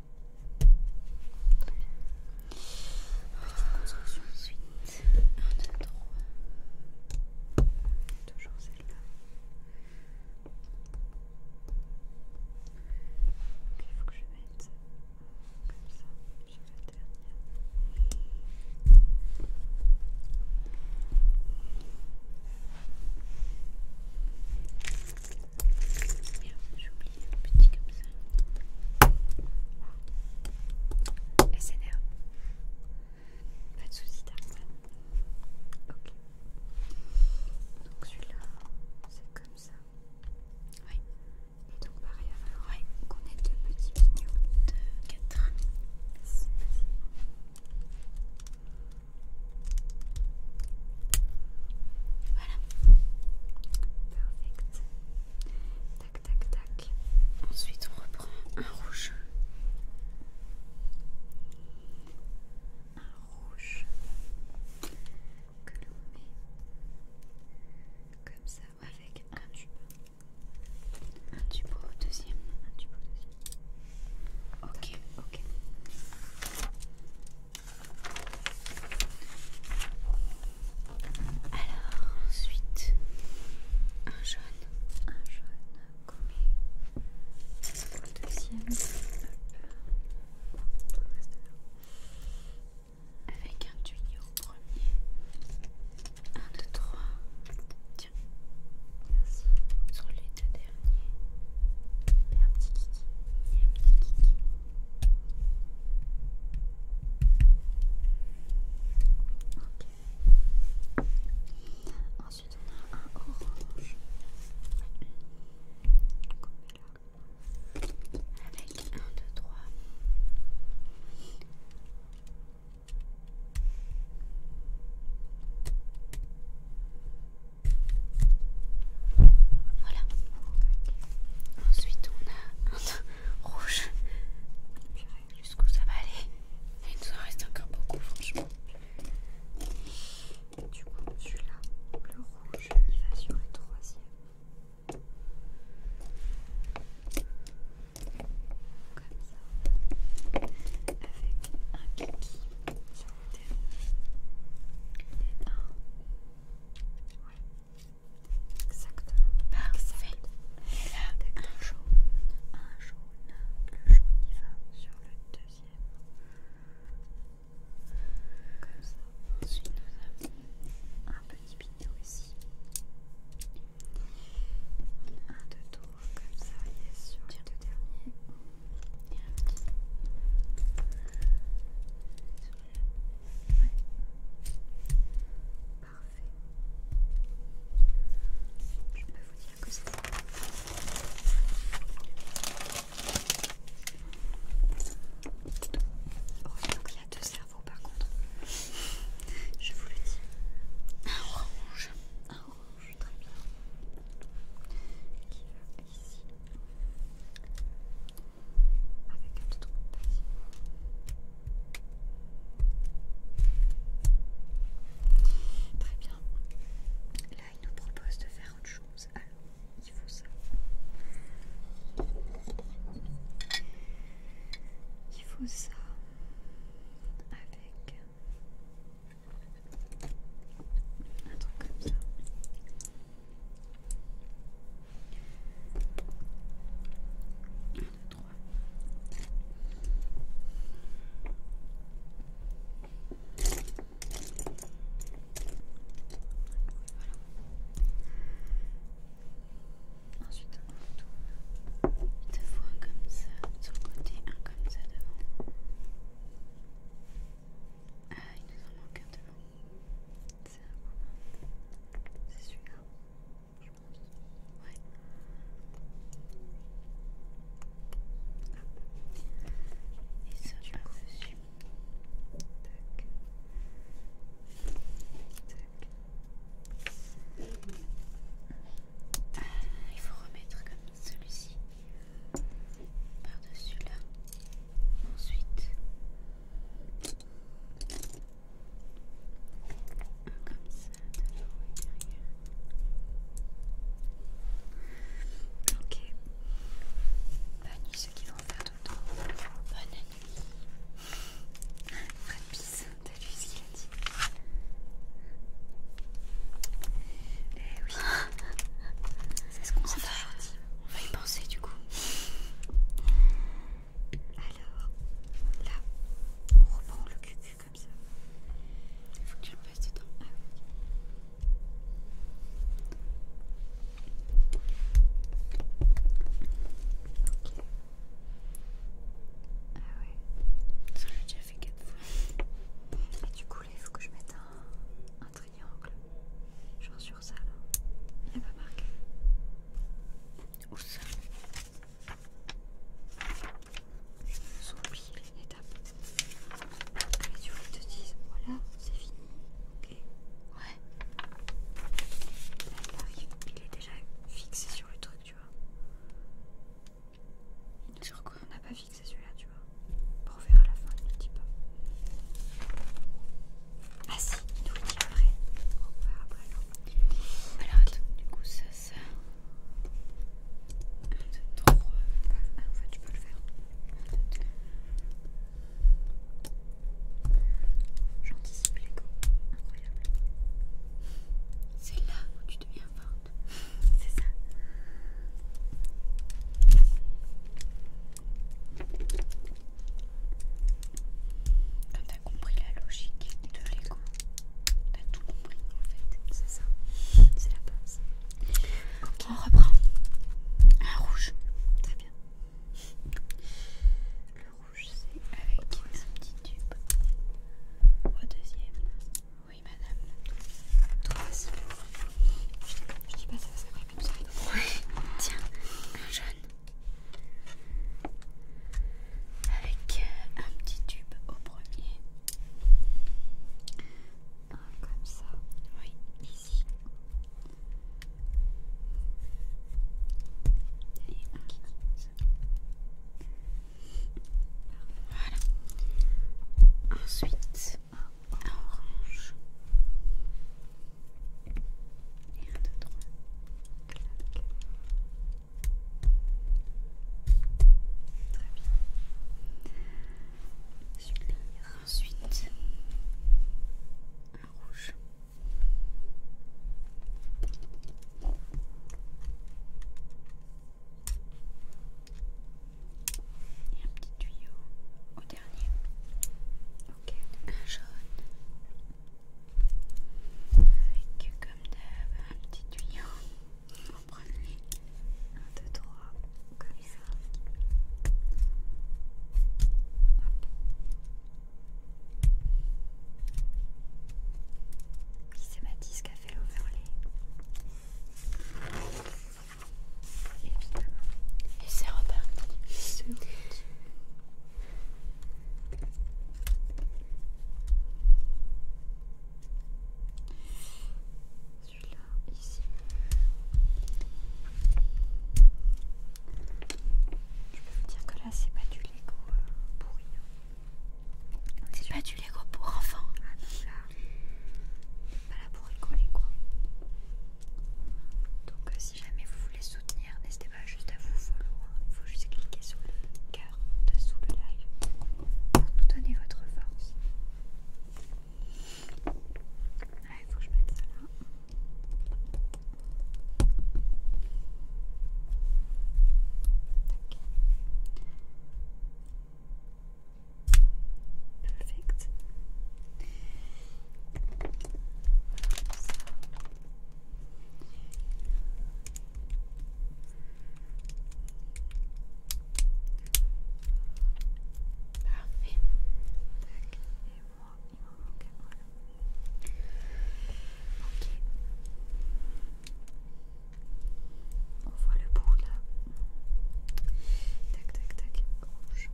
Petite ensuite. Toujours celle-là. il faut que je mette ça la dernière petit comme ça. Et c'est SNR. Pas de soucis, Darkman. Ok. Donc celui-là, c'est comme ça. Oui. Et donc pareil, on a deux petits pignons de quatre Voilà. Perfect. Tac, tac, tac. Ensuite, on reprend un rouge. Un rouge que l'on met comme ça avec un tube. Un tube au deuxième. Un tube au deuxième. Ok, ok. Alors ensuite un jaune, un jaune comme le deuxième avec un tuyau au premier. un, deux, trois, Tiens. Sur les deux derniers. Et un petit kiki. Et un petit kiki. Ensuite, on a un orange avec un, deux, trois. Voilà. Ensuite, on a un, rouge. Jusqu'où ça va aller Il nous en reste encore beaucoup, franchement. Du coup, celui-là, le rouge, il va sur le troisième. Comme ça. Avec un kiki sur le dernier. Et un. Exactement. avec un jaune, un jaune. Le jaune il va sur le deuxième. Comme ça. Ensuite, nous avons un petit pignon ici. Un, deux tours comme ça. Yes, sur le dernier Et un petit. Parfait. Je peux vous dire que c'est... Oh, il y a deux cerveaux par contre. Je vous le dis. Un orange. Un orange, très bien. Qui va ici avec un petit Très bien. Là, il nous propose de faire autre chose. Alors, il faut ça. Il faut ça avec un truc comme ça. 1, 2, Voilà. Ensuite on tourne. Il te faut un comme ça sur le côté, un comme ça devant. Ah, il nous en manque un devant. C'est un C'est celui-là je pense. Ouais. Et ça par-dessus. Tac. Tac. il faut remettre comme celui-ci par-dessus là. Ensuite, comme ça, de et derrière. Ok. Bonne nuit ceux qui vont faire dodo. Bonne nuit. Fred Pisse, t'as vu ce qu'il a dit Eh oui. C'est ce qu'on s'est fait. On va y penser du coup. Alors, là, on reprend le cucu comme ça. Il faut que je le du temps Ah, oui. Ok. Ah ouais. Ça l'a déjà fait 4 fois. Et du coup là il faut que je mette un, un triangle. Genre sur ça là. Il n'y a pas marqué ours. Ils ont oublié une étape. Les yeux te disent voilà, c'est fini. Ok, ouais. il arrive, est déjà fixé sur le truc, tu vois. Et sur quoi On n'a pas fixé celui-là, tu vois. Pour faire à la fin, il ne dit pas. Ah si, nous le après. Alors du coup ça, ça... Euh, ah, en fait tu peux le faire. J'anticipe incroyable. C'est là où tu deviens forte. C'est ça compris la logique de l'ego. T'as tout compris en fait, c'est ça, c'est la base. On reprend. Un rouge, très bien. Le rouge, c'est avec un petit tube. Au deuxième. Oui, madame. Troisième. Je dis pas ça, ça va comme ça. Tiens, un jaune avec euh, un petit tube au premier comme ça oui ici et voilà ensuite un orange et un, deux, trois. Très bien. Ensuite, un rouge. Et un petit tuyau au dernier. Ok. Un jaune. Avec comme d'hab un petit tuyau. On va prendre les comme ça. c'est Mathis qui a fait l'overlay. Et c'est reparti. Celui-là, ici. Je peux vous dire que là, c'est pas du Lego euh, pourri. C'est pas du Lego pour enfants. Ah pas là pour rigoler quoi. Donc, euh, si jamais vous voulez soutenir, n'hésitez pas juste à vous follow, hein. il faut juste cliquer sur le cœur dessous le live pour nous donner votre force. Il faut que je mette ça là. Perfect. Parfait. Tac, et moi, il m'en manque. Voilà. Ok. On voit le bout là. Tac, tac, tac. Rouge.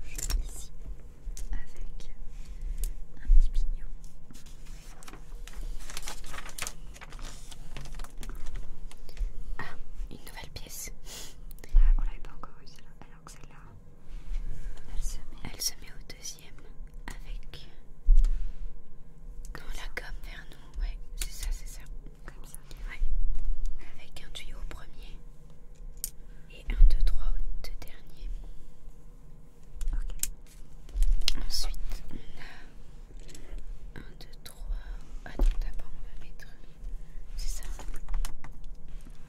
Rouge ici avec un petit pignon. Ah, une nouvelle pièce. Ah, on l'avait pas encore eu celle-là, alors que celle-là, elle se met. au deuxième avec la gomme vers nous. Ouais, c'est ça, c'est ça. Comme ça. Ouais. Avec un tuyau au premier et 1, 2, 3 au deux derniers. Ensuite, on a 1, 2, 3. Ah d'abord, on va mettre. C'est ça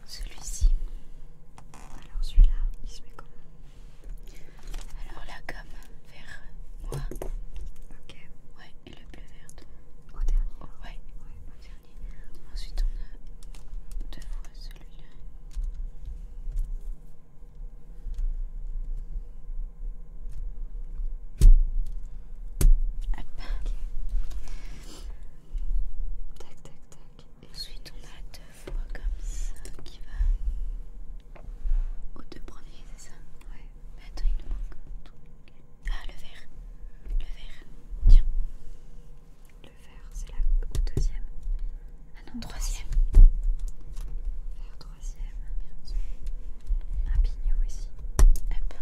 Celui-ci. Alors, celui-là, il se met comment Alors, la gomme vers moi. Ok. Ouais, et le bleu vert. Au dernier. ouais. ouais, au dernier. Ensuite, on a deux fois celui-là. Hop. Tac, tac, tac. ensuite, on a deux fois comme ça qui va aux deux premiers, c'est ça Ouais. Mais attends, il nous manque tout Ah, le vert. Le vert. Tiens le c'est la deuxième. Ah non, troisième. Vert, troisième. Un pignon ici. Hop.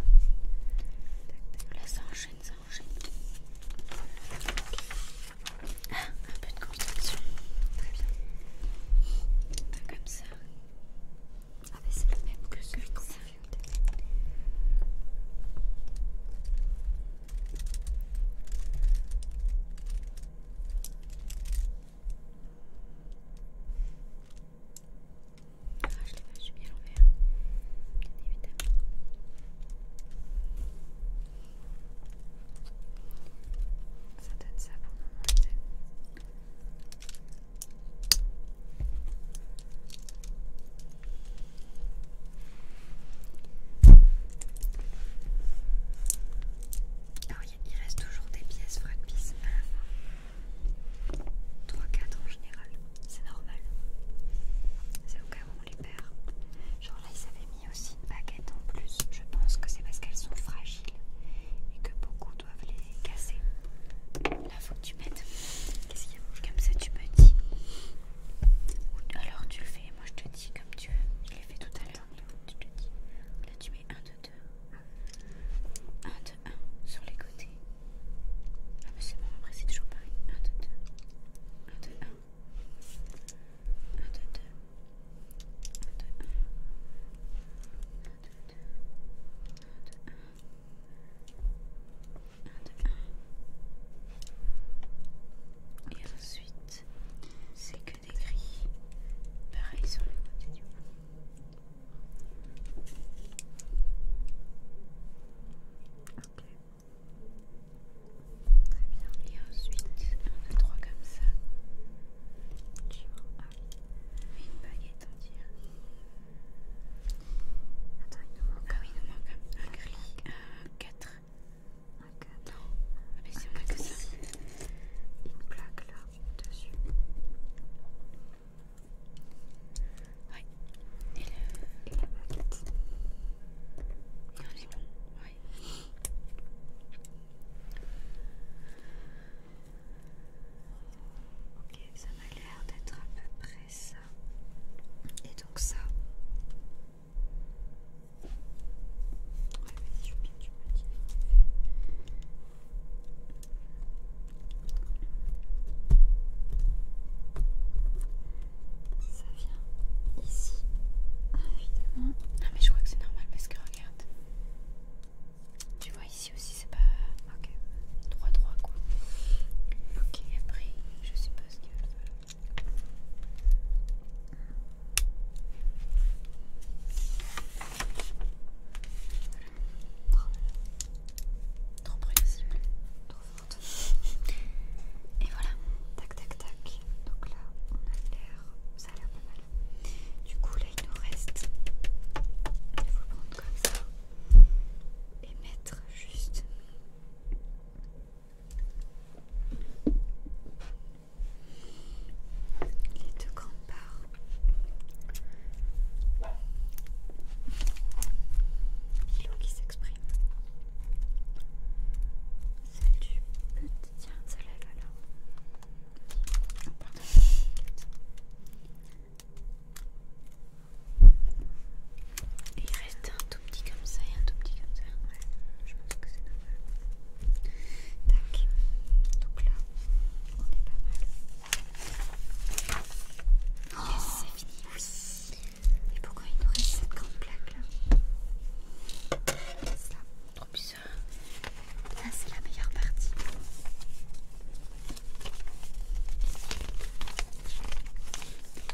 Là, ça enchaîne, ça enchaîne. Ah, un peu de contraction. Très bien. comme ça. Ah, mais c'est le même que celui qu'on servait vu au ah, je l'ai bien l'envers, évidemment. Ça donne ça pour le alors ah il, reste toujours des pièces fracpices à la fin. 3-4 en général, c'est normal. C'est au cas où on les perd. Genre là, ils avaient mis aussi une baguette en plus. Je pense que c'est parce qu'elles sont fragiles et que beaucoup doivent les casser. Là, faut que tu mettes. Qu'est-ce qu'il y a Comme ça, tu me dis. Alors, tu le fais moi je te dis comme tu veux. Je l'ai fait tout à l'heure. Tu te dis. Là, tu mets 1, 2, 2. 1, 2, 1 sur les côtés. Ah, mais c'est bon, après, c'est toujours pareil. 1, 2, 2. 1, 2, 1. 2, 1, 2, 1. 2, ensuite c'est que des gris pareil sur le côté du Ok. Très bien. Et ensuite, on a trois comme ça. Tu vois, ah Une baguette dirait. Attends, il nous manque. Ah un, gris, à 4 Ok, attends. Ah, mais c'est pas que ça. Une plaque là dessus. Oui. Et, la baguette. est bon. Oui. Ok, ça m'a l'air d'être à peu près ça. Et donc ça, ça vient ici, évidemment. Non ah, mais je crois que c'est normal parce que regarde. Tu vois ici aussi c'est pas... Ok. 3-3 quoi. Ok. après je sais pas ce que... Trop précis, trop forte. Et voilà, tac tac tac. Donc là, on a l'air, ça a l'air pas mal. Du coup, là, il nous reste. Il faut prendre comme ça et mettre juste les deux grandes barres. L'eau qui s'exprime. Celle du petit. Tiens, ça là là. pardon. Il reste un tout petit comme ça et un tout petit comme ça. Ouais, je pense que c'est normal. Tac. Donc là, on est pas mal. c'est fini. Et pourquoi il nous reste cette grande plaque là Ça, trop bizarre. Là, ah, c'est la meilleure partie.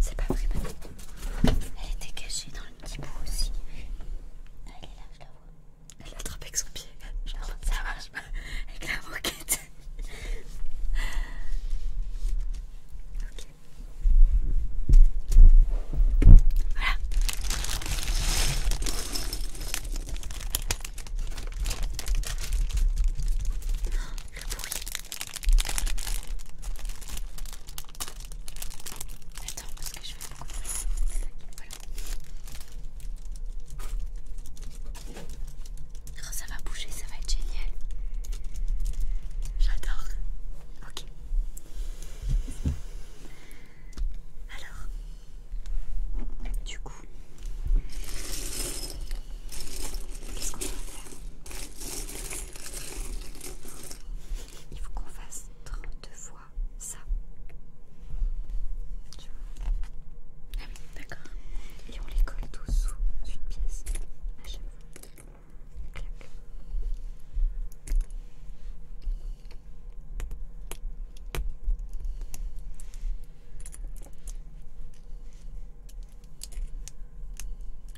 C'est pas vrai, Elle était cachée dans le petit bout aussi. Elle est là, je la vois. Elle l'a avec son pied. vois ça marche pas. Avec la moquette. ok. Voilà. Le bruit. Attends, parce que je fais beaucoup de oh, ça va bouger, ça va être génial. J'adore. Ok. Alors, du coup, qu'est-ce qu'on va faire il faut qu'on fasse 32 fois ça. Ah oui, d'accord. Et on les colle tous sous une pièce à chaque fois.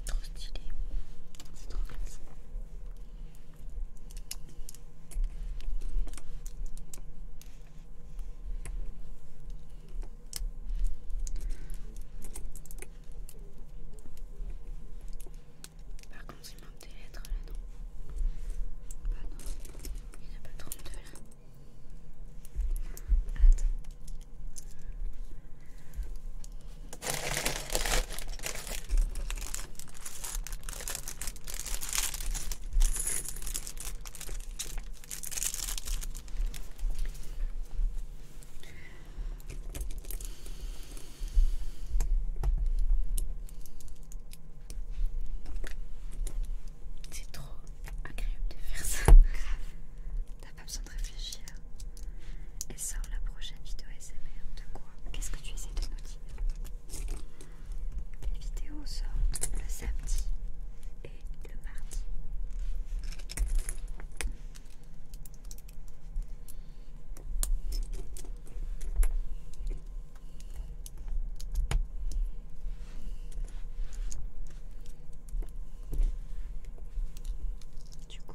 Trop stylé, c'est trop classe. Par contre, il manque des lettres là-dedans. Bah non, il n'y a pas deux là. Attends. C'est trop agréable de faire ça pas besoin de réfléchir. Et sort la prochaine vidéo SMR de quoi Qu'est-ce que tu essaies de nous dire Les vidéos sortent le samedi et le mardi. Du coup,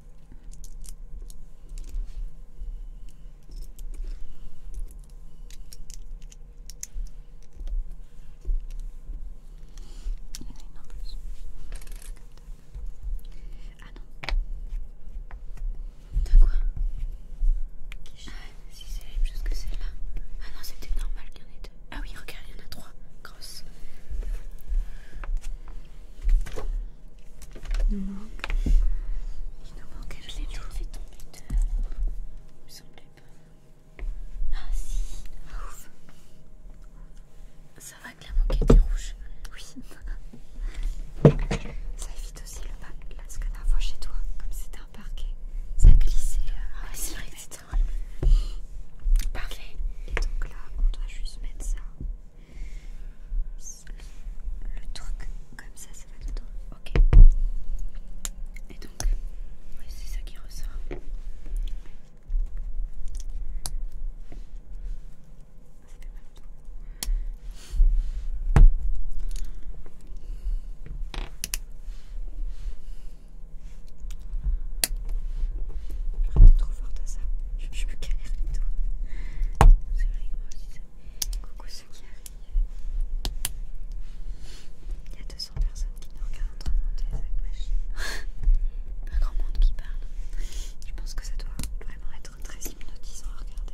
Il y en a une en plus. Ah non. De quoi Ah si c'est la même chose que celle-là. Ah non c'était normal qu'il y en ait deux. Ah oui regarde il y en a trois. Il nous manque. Il nous manque, je l'ai fait tomber dehors. Il me Ah si, ouf. Ça va que la moquette est rouge. Oui. Ça évite aussi le bac. Là, ce que la fois chez toi, comme c'était un parquet, ça glissait. Euh, ah, c'est vrai Parlez. Parfait. Et donc là, on doit juste mettre ça le truc comme ça, ça va droit, Ok. Et donc, c'est ça qui ressort. Tu été trop forte à ça. Je, me galère les doigts. C'est vrai que moi aussi ça. Coucou ceux qui arrivent. Il y a 200 personnes qui nous regardent en train de monter cette machine. Un grand monde qui parle. Je pense que ça doit vraiment être très hypnotisant à regarder.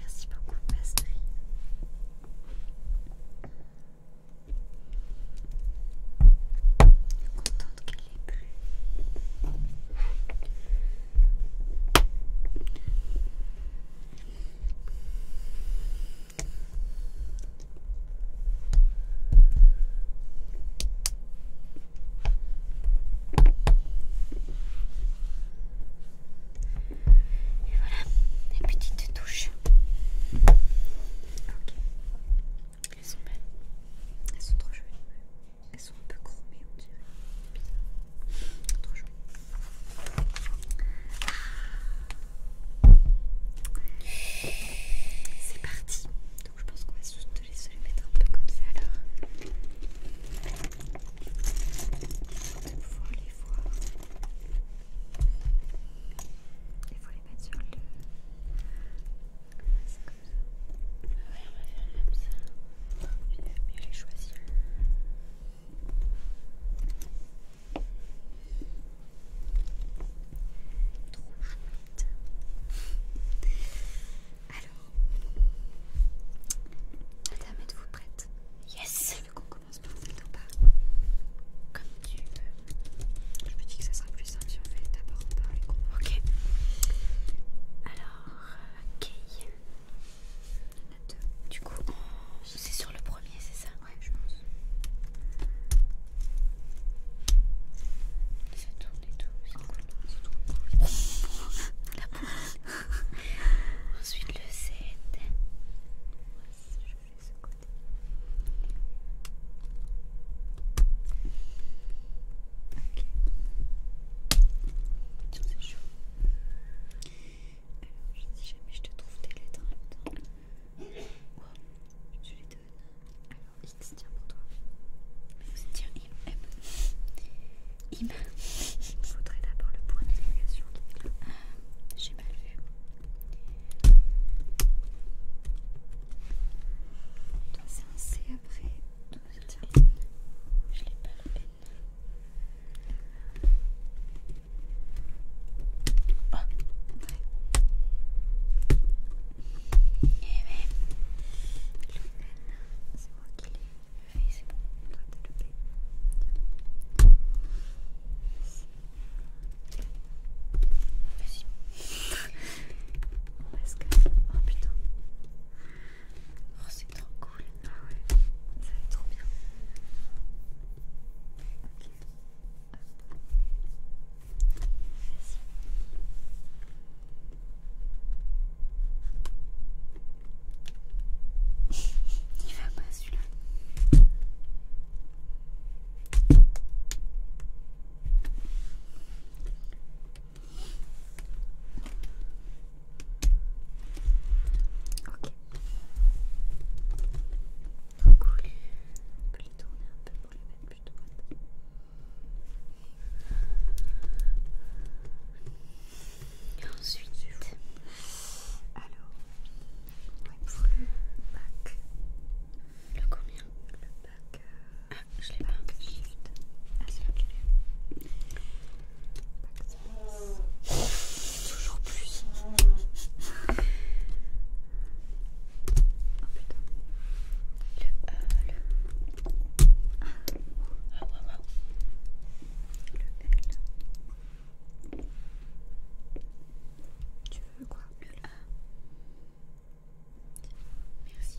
Merci beaucoup, Pastry. Contente qu'elle ait plu. Et voilà, les petites touches. Ok. Elles sont belles. Elles sont trop jolies. Elles sont un peu chromées, on dirait. Bizarre. Trop jolies. C'est parti. Donc je pense qu'on va juste te laisser les mettre un peu comme ça alors. De pouvoir les voir. Il faut les mettre sur le. C'est comme ça. Ouais, on va faire comme ça. Il va mieux les choisir. Trop chouette. Alors, Adam êtes-vous prête Yes On qu'on commence par cette ou Comme tu veux. Je me dis que ça sera plus simple si on fait d'abord les Ok. Alors, ok. Euh, il en a deux. Du coup, c'est sur le premier, c'est ça Ouais, je pense. Se tourne et tout, c'est cool. Oh, la Ensuite le 7. Je fais ce côté. Ok. Tiens, c'est chaud. Alors, je si jamais je te trouve tes lettres en même temps. Je te les donne. X, tiens pour toi. Tiens, M. Im. Il faudrait d'abord le point d'interrogation qui est là. Ah, j'ai mal vu. Toi, c'est un C après. Toi, Je l'ai pas le N. Oh. Ouais. Eh bien, c'est moi qui l'ai. fait, c'est bon, toi le Vas-y. que. Oh putain. Oh, c'est trop cool. Ah ouais, ça va être trop bien. Ok. Il va pas celui-là. Ok. Trop cool. On peut les tourner un peu pour les mettre et ensuite, alors, le bac, le combien Le bac, euh, ah, je l'ai pas. Shift. Ah, c'est là que je l'ai. Bac Toujours plus. Oh putain. Le. le. Tu veux quoi Le A. Merci.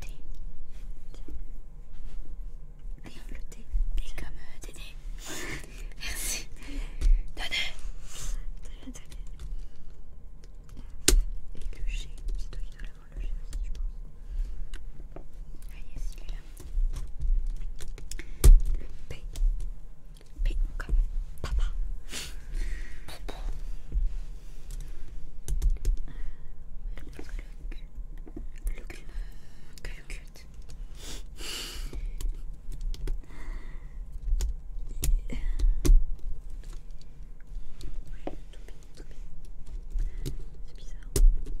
thé. Rien le thé. Thé comme euh, Dédé. Merci. Dédé. Dédé. Et le G. C'est toi qui dois l'avoir le G aussi, je pense. Allez, celui-là. Le P. P comme papa. Papa. Look, look, look at. Yeah. bizarre.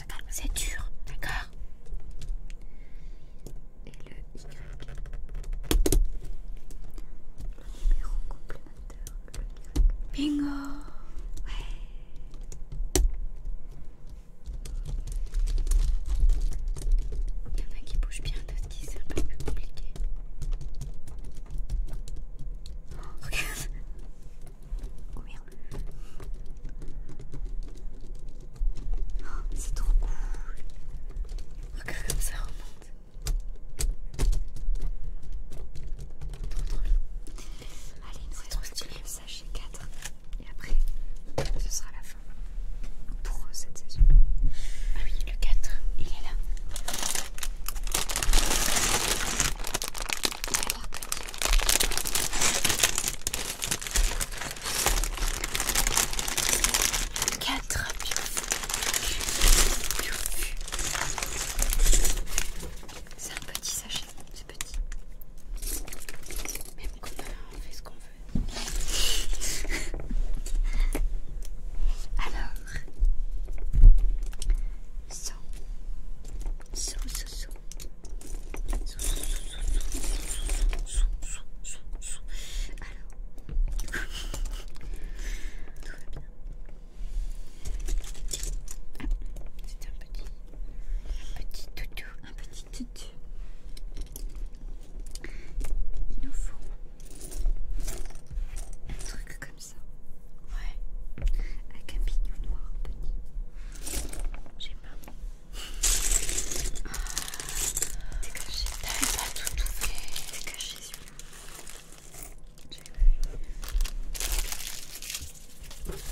c'est dur, d'accord Et le Y. Le numéro complémentaire, le Y. Bingo Ouais Il y en a qui bougent bien, d'autres qui c'est un peu plus compliqué. Oh, regarde Oh merde Oh, c'est trop cool. Regarde comme ça remonte. Trop drôle. Allez, nous allons retirer le sachet 4. Et après, ce sera la fin pour euh, cette saison. Ah oui, le 4, il est là. 4 C'est un petit sachet, c'est petit. Même quand on fait ce qu'on veut. Alors, so, so, tout va bien. c'est un petit, un petit toutou, un petit toutou. Il nous faut un truc comme ça. Ouais. Avec un pignon noir petit. J'ai pas. Dégagez. T'avais pas tout trouvé. Dégagez, s'il vous avec un petit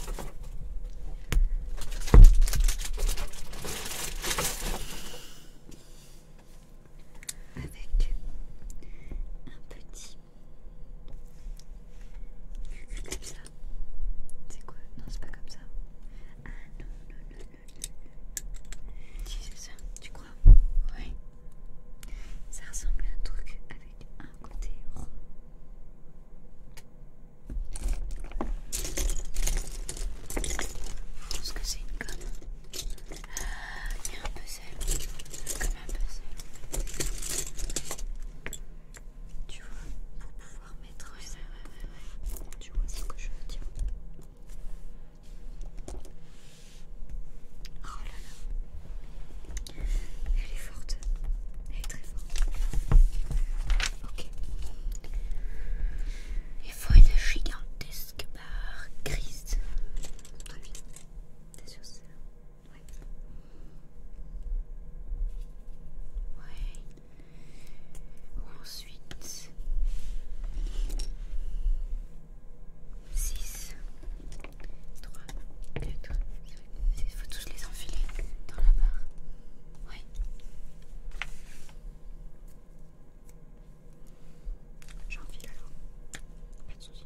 c'est quoi Non, c'est pas comme ça. Ah non, non, non, non. Si, c'est ça, tu crois Oui. Ça ressemble à un truc avec un côté rond. Je pense que c'est une gomme. Ah, il y a un puzzle. Comme un puzzle. Tu vois, on va mettre. ça, ouais, ouais, ouais. Tu vois ce que je veux dire. Oh là là. Elle est forte. Elle est très forte. Ok. Il faut une gigantesque barre grise. Très bien. T'es sûr c'est là Ouais. Ouais, Ensuite, 6, 3, 4, il faut tous les enfiler dans la barre. Oui. J'enfile alors. Pas de soucis.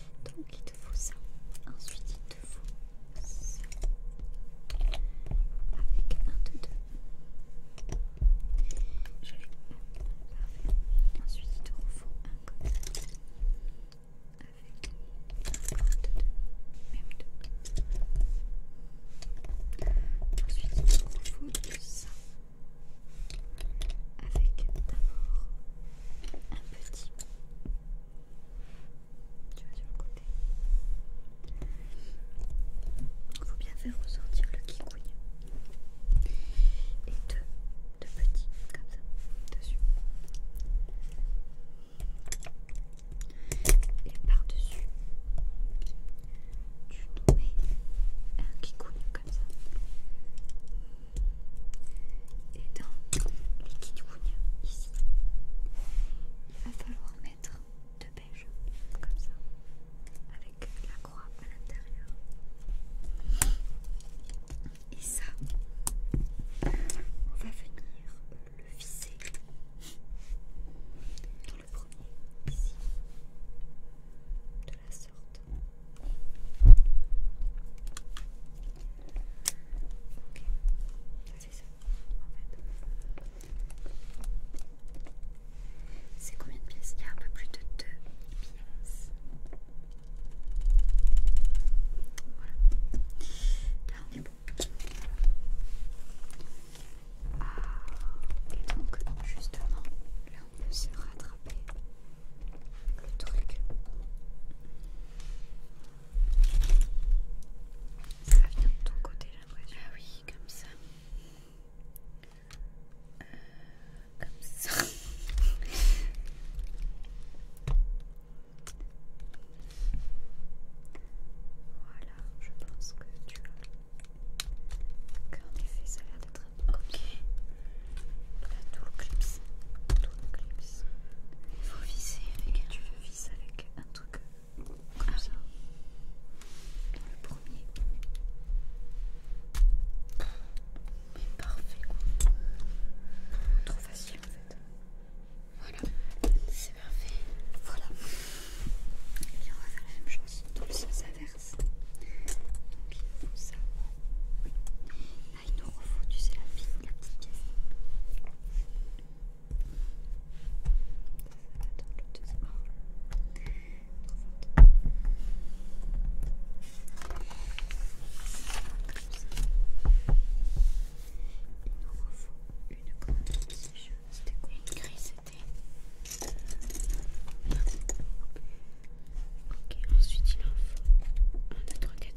Donc il te faut ça. Ensuite il te faut ça. Avec un de deux. Je l'ai. Parfait. Ensuite il te faut un comme Avec un de deux. Même deux. Ensuite il te faut ça avec d'abord un petit. Tu vas sur le côté. Il faut bien faire ressortir le kikouille. Et deux, deux petits, comme ça, dessus. Et par-dessus, tu nous mets un kikouille et dans Et dans ici, il va falloir mettre deux beige, comme ça, avec la croix à l'intérieur. Et ça, on va venir le visser dans le premier, ici la sorte. Ok, c'est ça en fait. C'est combien de pièces Il y a un peu plus de deux pièces. Voilà. Là on est bon. Ah, et donc justement, là on peut se rattraper le truc. Ça vient de ton côté, la dire Ah oui, comme ça. Euh, comme ça. voilà, je pense que tu l'as. En effet, ça a l'air d'être Ok tout le clips. Tout le clips. Il faut viser avec. tu veux viser avec un truc comme ah ça. le premier. Mais parfait quoi. Trop facile en fait. Voilà, c'est parfait. Voilà. Et on va faire la même chose dans le sens inverse. Donc il faut ça. Là, il nous refaut, tu sais, la vigne, la petite grise. Attends, le deuxième. Comme ça. Il nous refaut une grande C'est chiant, c'était quoi Une grise, c'était... Ok, ensuite, il en faut un autre gâteau.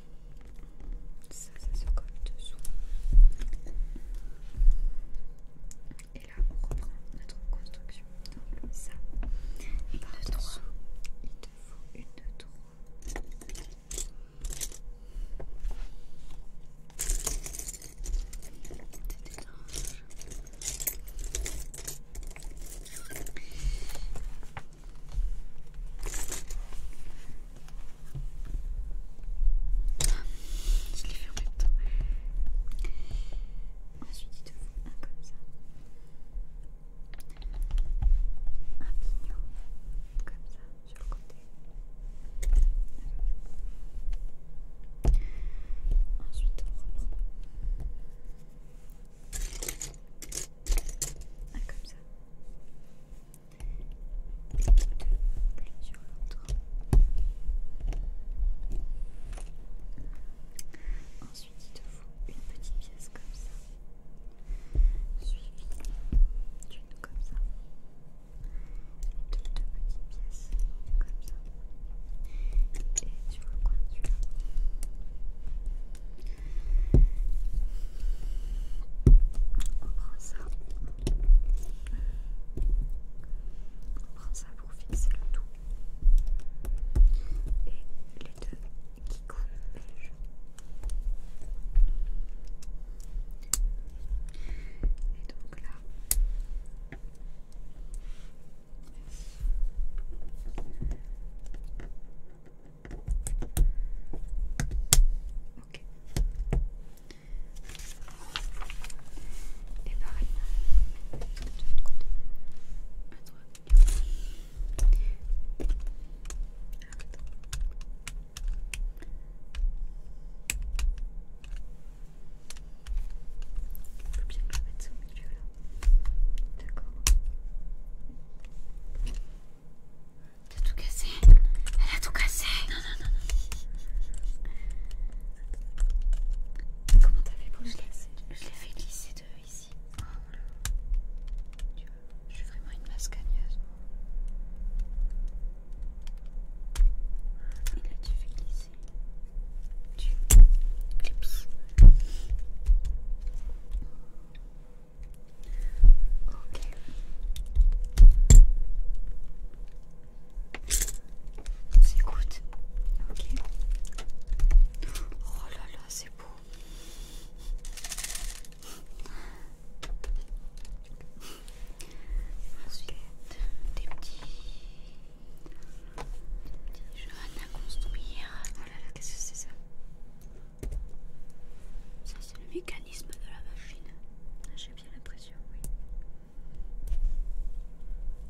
Ça, ça se colle dessous. Et là, on reprend notre construction. Donc, ça. Il te faut une de trois. Je l'ai Ensuite, dites-vous un comme ça. Un pignon comme ça sur le côté. Ensuite, on reprend. Un comme ça deux Ensuite, il te faut une petite pièce comme ça, suivie d'une comme ça, de deux petites pièces comme ça, et sur le coin, tu on prend ça. On prend ça pour fixer le tout. Et les deux qui coulent Et donc là. Ok. Et pareil, de côté. bien que je ça au milieu là. D'accord. T'as tout cassé. Elle a tout cassé. Non, non, non. non. Comment t'as fait pour je l'ai fait glisser de ici. Tu je suis vraiment une mascagneuse. Et là, tu fais glisser. Tu Ok. goûte, Ok. Oh là là, c'est beau. Ensuite, des petits, des petits jeunes à construire. Oh là là, qu'est-ce que c'est ça Ça, c'est le mécanisme de la machine j'ai bien l'impression, oui.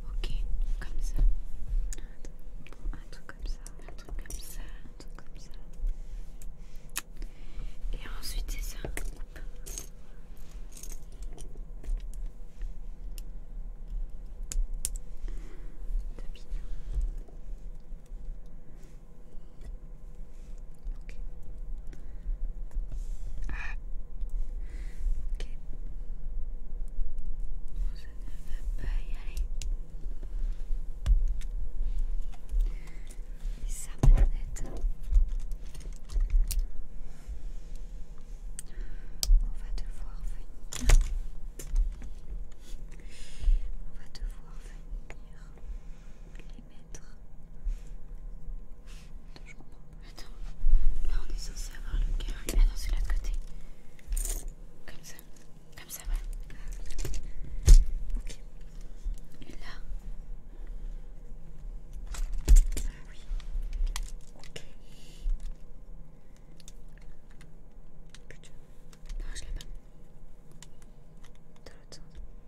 Ok, comme ça. Un truc comme ça, un truc comme ça, un truc comme ça. Et ensuite c'est ça. Ok. Ah. Ok. Ça ne va pas y aller. Et ça, ma net. On va devoir venir. On va devoir venir les mettre. Attends, je comprends Attends, là on est censé avoir le cœur. Attends, c'est l'autre côté. Comme ça. Comme ça, ouais. Ok. Et là. Ah oui. Ok. Putain. Non, je l'ai pas. Dans l'autre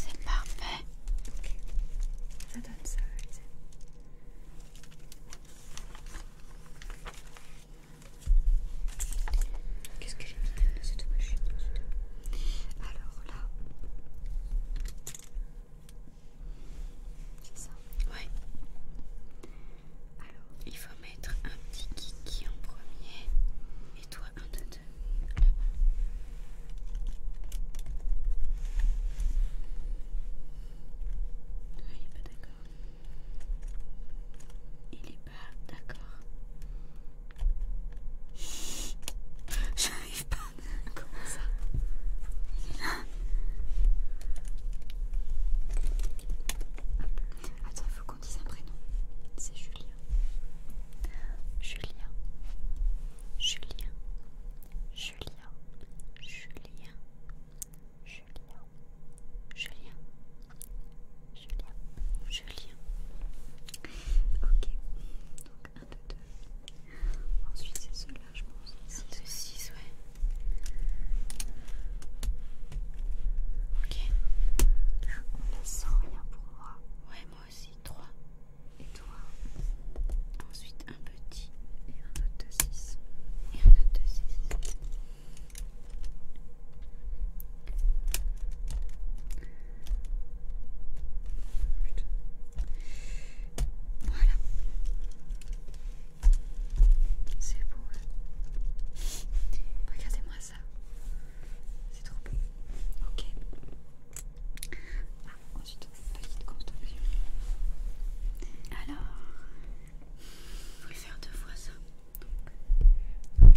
C'est parfait. donne ça. Qu'est-ce que j'ai mis dans cette machine Alors ça Ouais. Alors, il faut mettre un petit kiki en premier et toi un de deux. là il est pas d'accord. Il est pas d'accord. J'arrive pas. Comment ça Il Attends, il faut qu'on dise un prénom. C'est Julien. Julien. Julien. Julien. Julien. Julien. Julien. Julien. Julien. Ok. 1, 2, 2. Ensuite, c'est celui là je pense. 1, 2, 6, ouais. Ok. Là, On laisse sans rien pour moi. Ouais, moi aussi, 3. Et toi Ensuite, un petit. Et un autre de 6. Et un autre de 6. Voilà. C'est beau. Hein. Regardez-moi ça. C'est trop beau. Ok. Ah, ensuite, petite construction. Alors, il faut faire deux fois ça. Ok.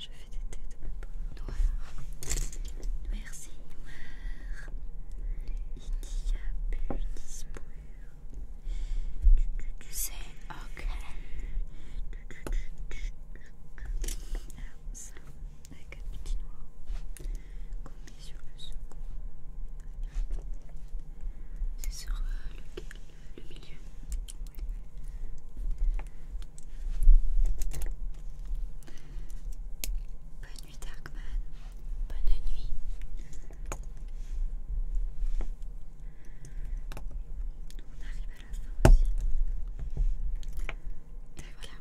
Je fais des têtes noires. Merci noir. Il y a plus d'espoir. C'est ok. Alors ça, avec un petit noir sur le second. C'est sur le milieu. Oui. Bonne nuit Darkman. Bonne nuit. On arrive à la fin aussi. Et voilà.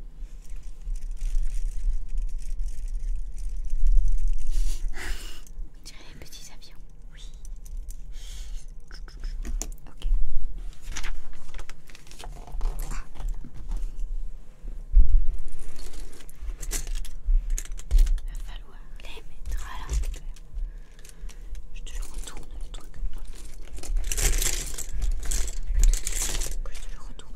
On dirait les petits avions. Oui. Ok. Il va falloir les mettre à l'arbre Je te le retourne le truc. je te le retourne.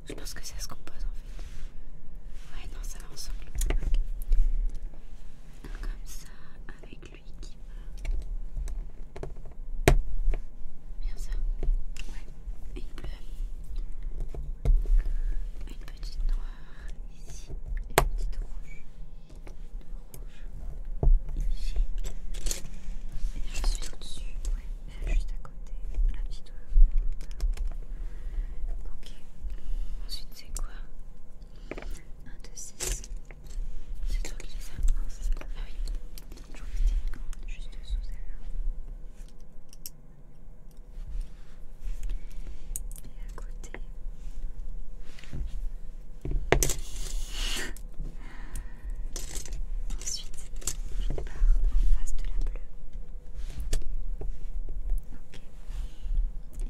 Je pense que ça se compose en fait. Ouais, non, ça va ensemble. Comme ça, avec lui qui va. Bien ça. Ouais. Une bleue. Une petite noire ici. Et une petite rouge. Une rouge, Ici. Et je suis au-dessus. Ouais. Juste à côté. La petite. rouge. Ok. Ensuite, c'est quoi 1, 2, 6. C'est toi qui les ça. c'est Ah oui. Donc, j'en mettais juste sous celle-là. Et à côté. Ensuite, je pars en face de la bleue. Ok.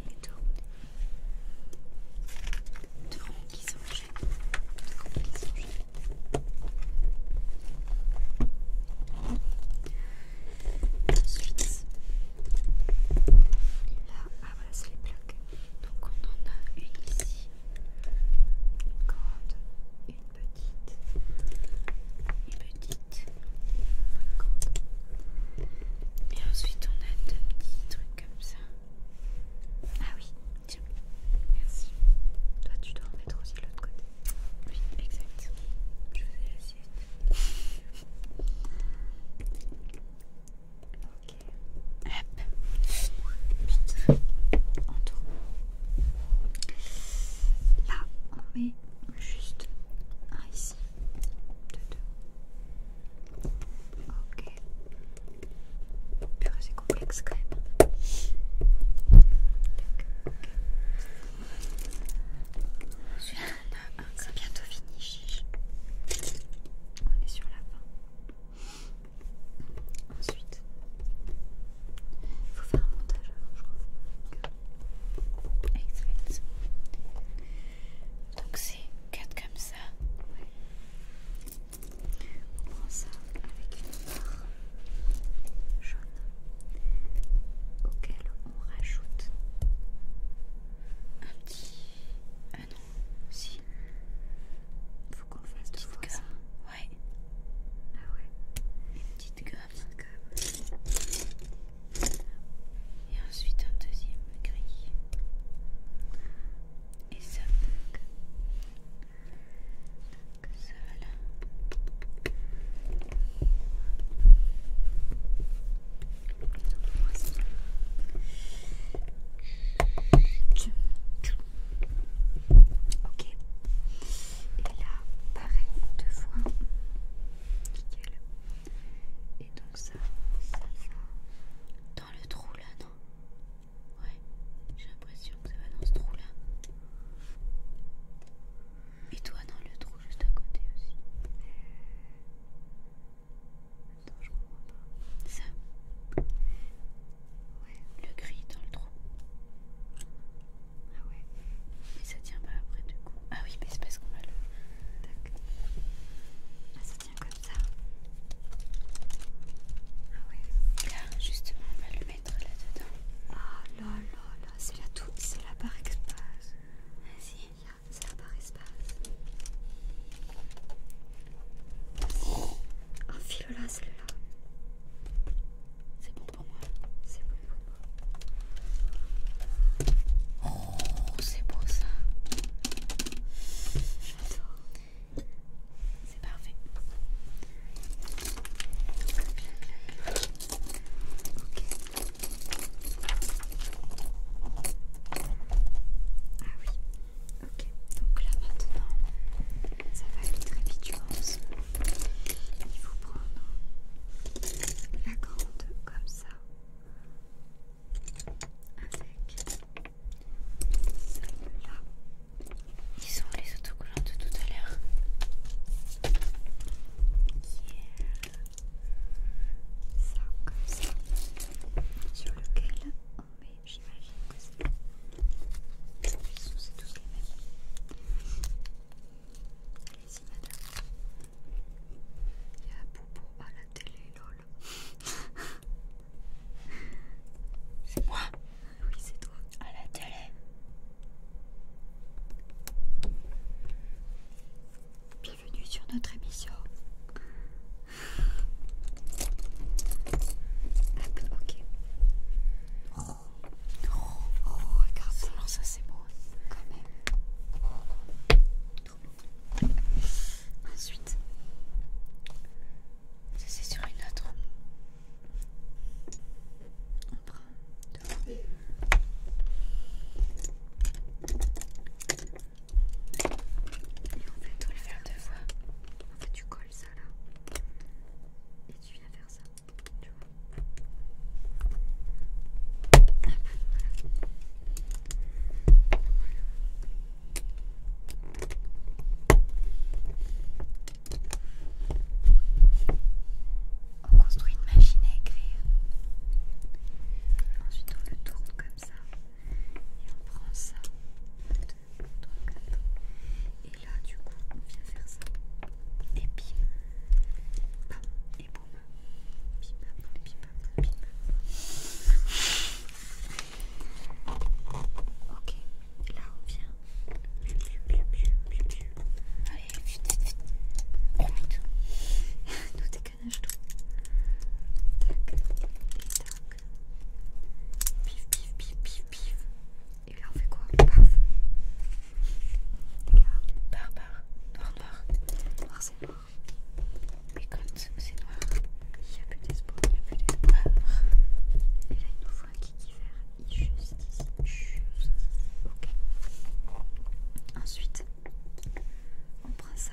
Et tourne. Deux ronds qui s'enchaînent. Deux ronds qui s'enchaînent. Ensuite, là, ah voilà, c'est les plaques. Donc on en a une ici, une grande, une petite, une et ensuite on a deux petits trucs comme ça. Ah oui, tiens. Merci. Toi tu dois en mettre aussi l'autre côté. Oui, exact. Je faisais suite. Ok. Hop. En tout. Là on juste un ici, deux deux. Ok. Purée, c'est complexe quand même. ça C'est bientôt fini, On est sur la fin. Ensuite, il faut faire un montage avant, je crois. Exact. Donc c'est 4 comme ça. On prend ça avec une barre jaune auquel on rajoute un petit... Ah non, si. Faut qu'on fasse deux fois Ouais. Ah ouais. Une petite gomme. Une petite et ensuite un deuxième gris et ça bug donc ça Ok, et là, pareil, deux fois. Nickel. Et donc ça, ça dans le trou là, non Ouais, j'ai l'impression que ça va dans ce trou là. Et toi dans le trou juste à côté aussi. Attends, je comprends pas. Ça. Le gris dans le trou. Ah ouais ça tient pas après du coup. Ah oui, mais c'est parce qu'on va le. Ah, ça tient comme ça. Ah oui. Là, justement, on va le mettre là-dedans. Ah là là là, c'est la toute, c'est la barre espace. Vas-y, c'est la barre espace. Enfile-la, celle-là. C'est bon pour moi. C'est bon. Oh, c'est beau ça. C'est parfait. Ok. Ah oui. Ok. Donc là maintenant, ça va aller très vite, Il faut prendre la grande comme ça avec celle-là. Ils sont les autocollants de tout à l'heure. Qui est ça comme ça. Sur lequel on met, j'imagine que c'est... Ils tous les mêmes. Allez-y, madame. Il y a un Popo à la télé, lol. c'est moi Oui, c'est toi. À la télé. Bienvenue sur notre émission. Hop, ok. Oh, regarde regarde, alors ça c'est beau quand même. Ensuite, ça c'est sur une autre. On prend deux. Et on fait, tout le faire deux fois. En fait, tu colles ça là. Et tu viens faire ça. Tu vois. On construit une machine à écrire. Ensuite on le tourne comme ça. Et on prend ça. Et là du coup on vient faire ça. Et puis, bam, et boum. Bip, Ok, là on vient. Allez, vite, vite, tout. Nous je tout. Tac, tac. Pif, pif, pif, pif, pif. Et là on fait quoi Paf. Et noir, noir. Noir, c'est noir mais quand c'est noir, il n'y a plus d'espoir, il n'y a plus d'espoir. Et là, il nous faut un kiki vert, juste juste ici. Ok. Ensuite, on prend ça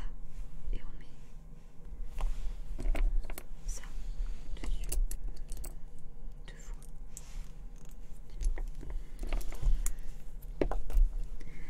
et on met ça dessus deux fois.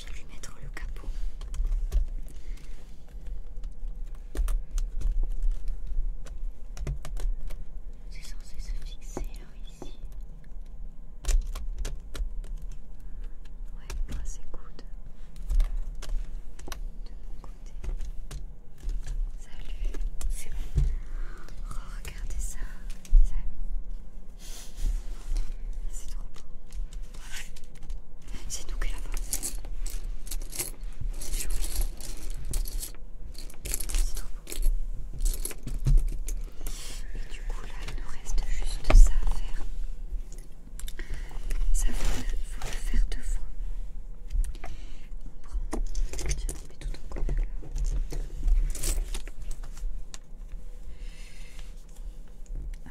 je vais lui mettre le capot. C'est censé se fixer ici. Ouais, c'est good. De mon côté. Salut, c'est bon. Oh, regardez ça, Salut. C'est trop beau. C'est nous qui l'avons. C'est joli. C'est trop beau. Et du coup, là, il nous reste juste ça à faire. Ça, faut le, faut le faire deux fois. On prend. Tiens, on met tout en commun là. Ah,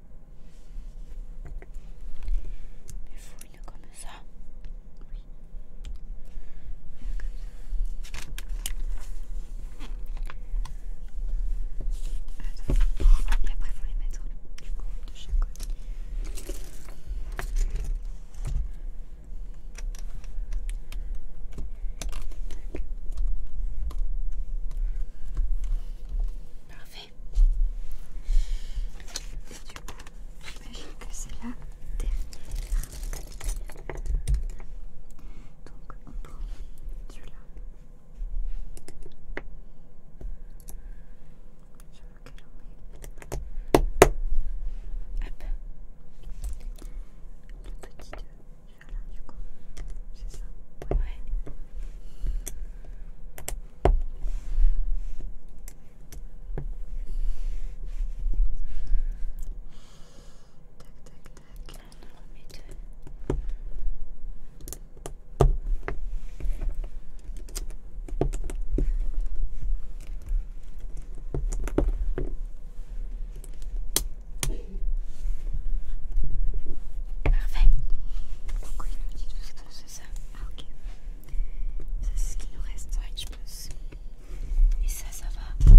Il faut comme ça. Et après, faut les mettre de chaque côté. Parfait. Du coup, j'imagine que c'est la dernière. Donc, on prend celui-là. Je veux qu'elle en met. Hop. Le petit 2, celui-là, du coup. C'est ça Ouais tac, là Parfait. Pourquoi il nous dit tout que C'est ça ah, ok. Ça c'est ce qu'il nous reste, je pense. Et ça, ça va.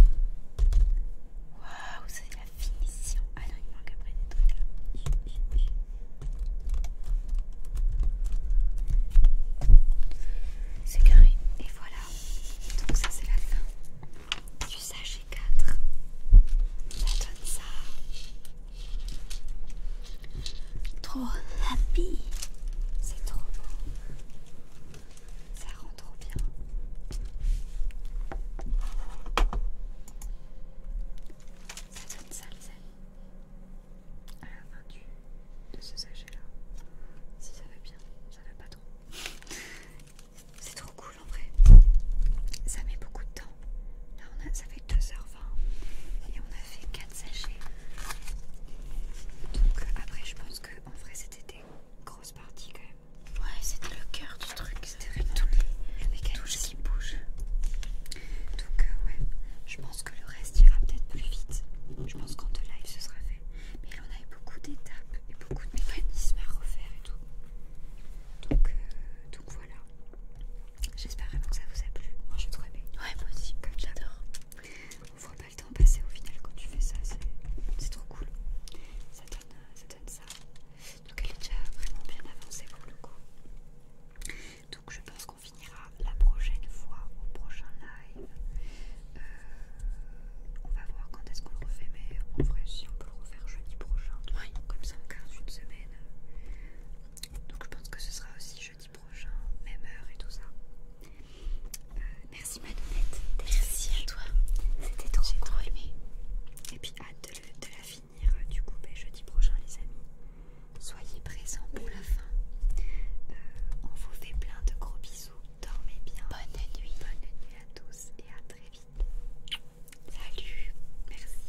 Waouh, c'est la finition. Ah non, il manque après des trucs là. C'est carré. Et voilà. Donc ça c'est la fin du sachet 4. Ça donne ça. Trop happy. C'est trop beau. Ça rend trop bien. Ça donne ça les amis. À la fin du, de ce sachet là. Si ça va bien, ça va pas trop. C'est trop cool en vrai. Ça met beaucoup de temps. on a, 2h20 et on a fait 4 sachets. Donc après je pense que en vrai c'était des grosses parties quand même. Ouais c'était le cœur du truc, c'était vraiment tout le, mécanisme bouge. Donc euh, ouais, je pense que le reste ira peut-être plus vite. Je pense qu'en deux live ce sera fait. Mais là on eu beaucoup d'étapes et beaucoup de mécanismes à refaire et tout. donc euh, voilà. J'espère vraiment que ça vous a plu. Moi j'ai trop aimé. Ouais, moi aussi, j'adore. On voit pas le temps passer au final quand tu fais ça, c'est trop cool. Euh, ça donne, ça Donc elle est déjà vraiment bien avancée pour le coup. Donc je pense qu'on finira la prochaine fois, au prochain live. Euh, on va voir quand est-ce qu'on le refait, mais On ferait si on peut le refaire jeudi prochain, comme ça on garde une semaine. Donc je pense que ce sera aussi jeudi prochain, même heure et tout ça. Euh, merci Madonnette, merci à toi, c'était trop aimé. Et puis hâte de, la finir euh, du coup ben, jeudi prochain les amis. Soyez présents pour la fin. Euh, on vous fait plein de gros bisous. Dormez bien. Bonne nuit. Bonne nuit à tous et à très vite. Salut. Merci.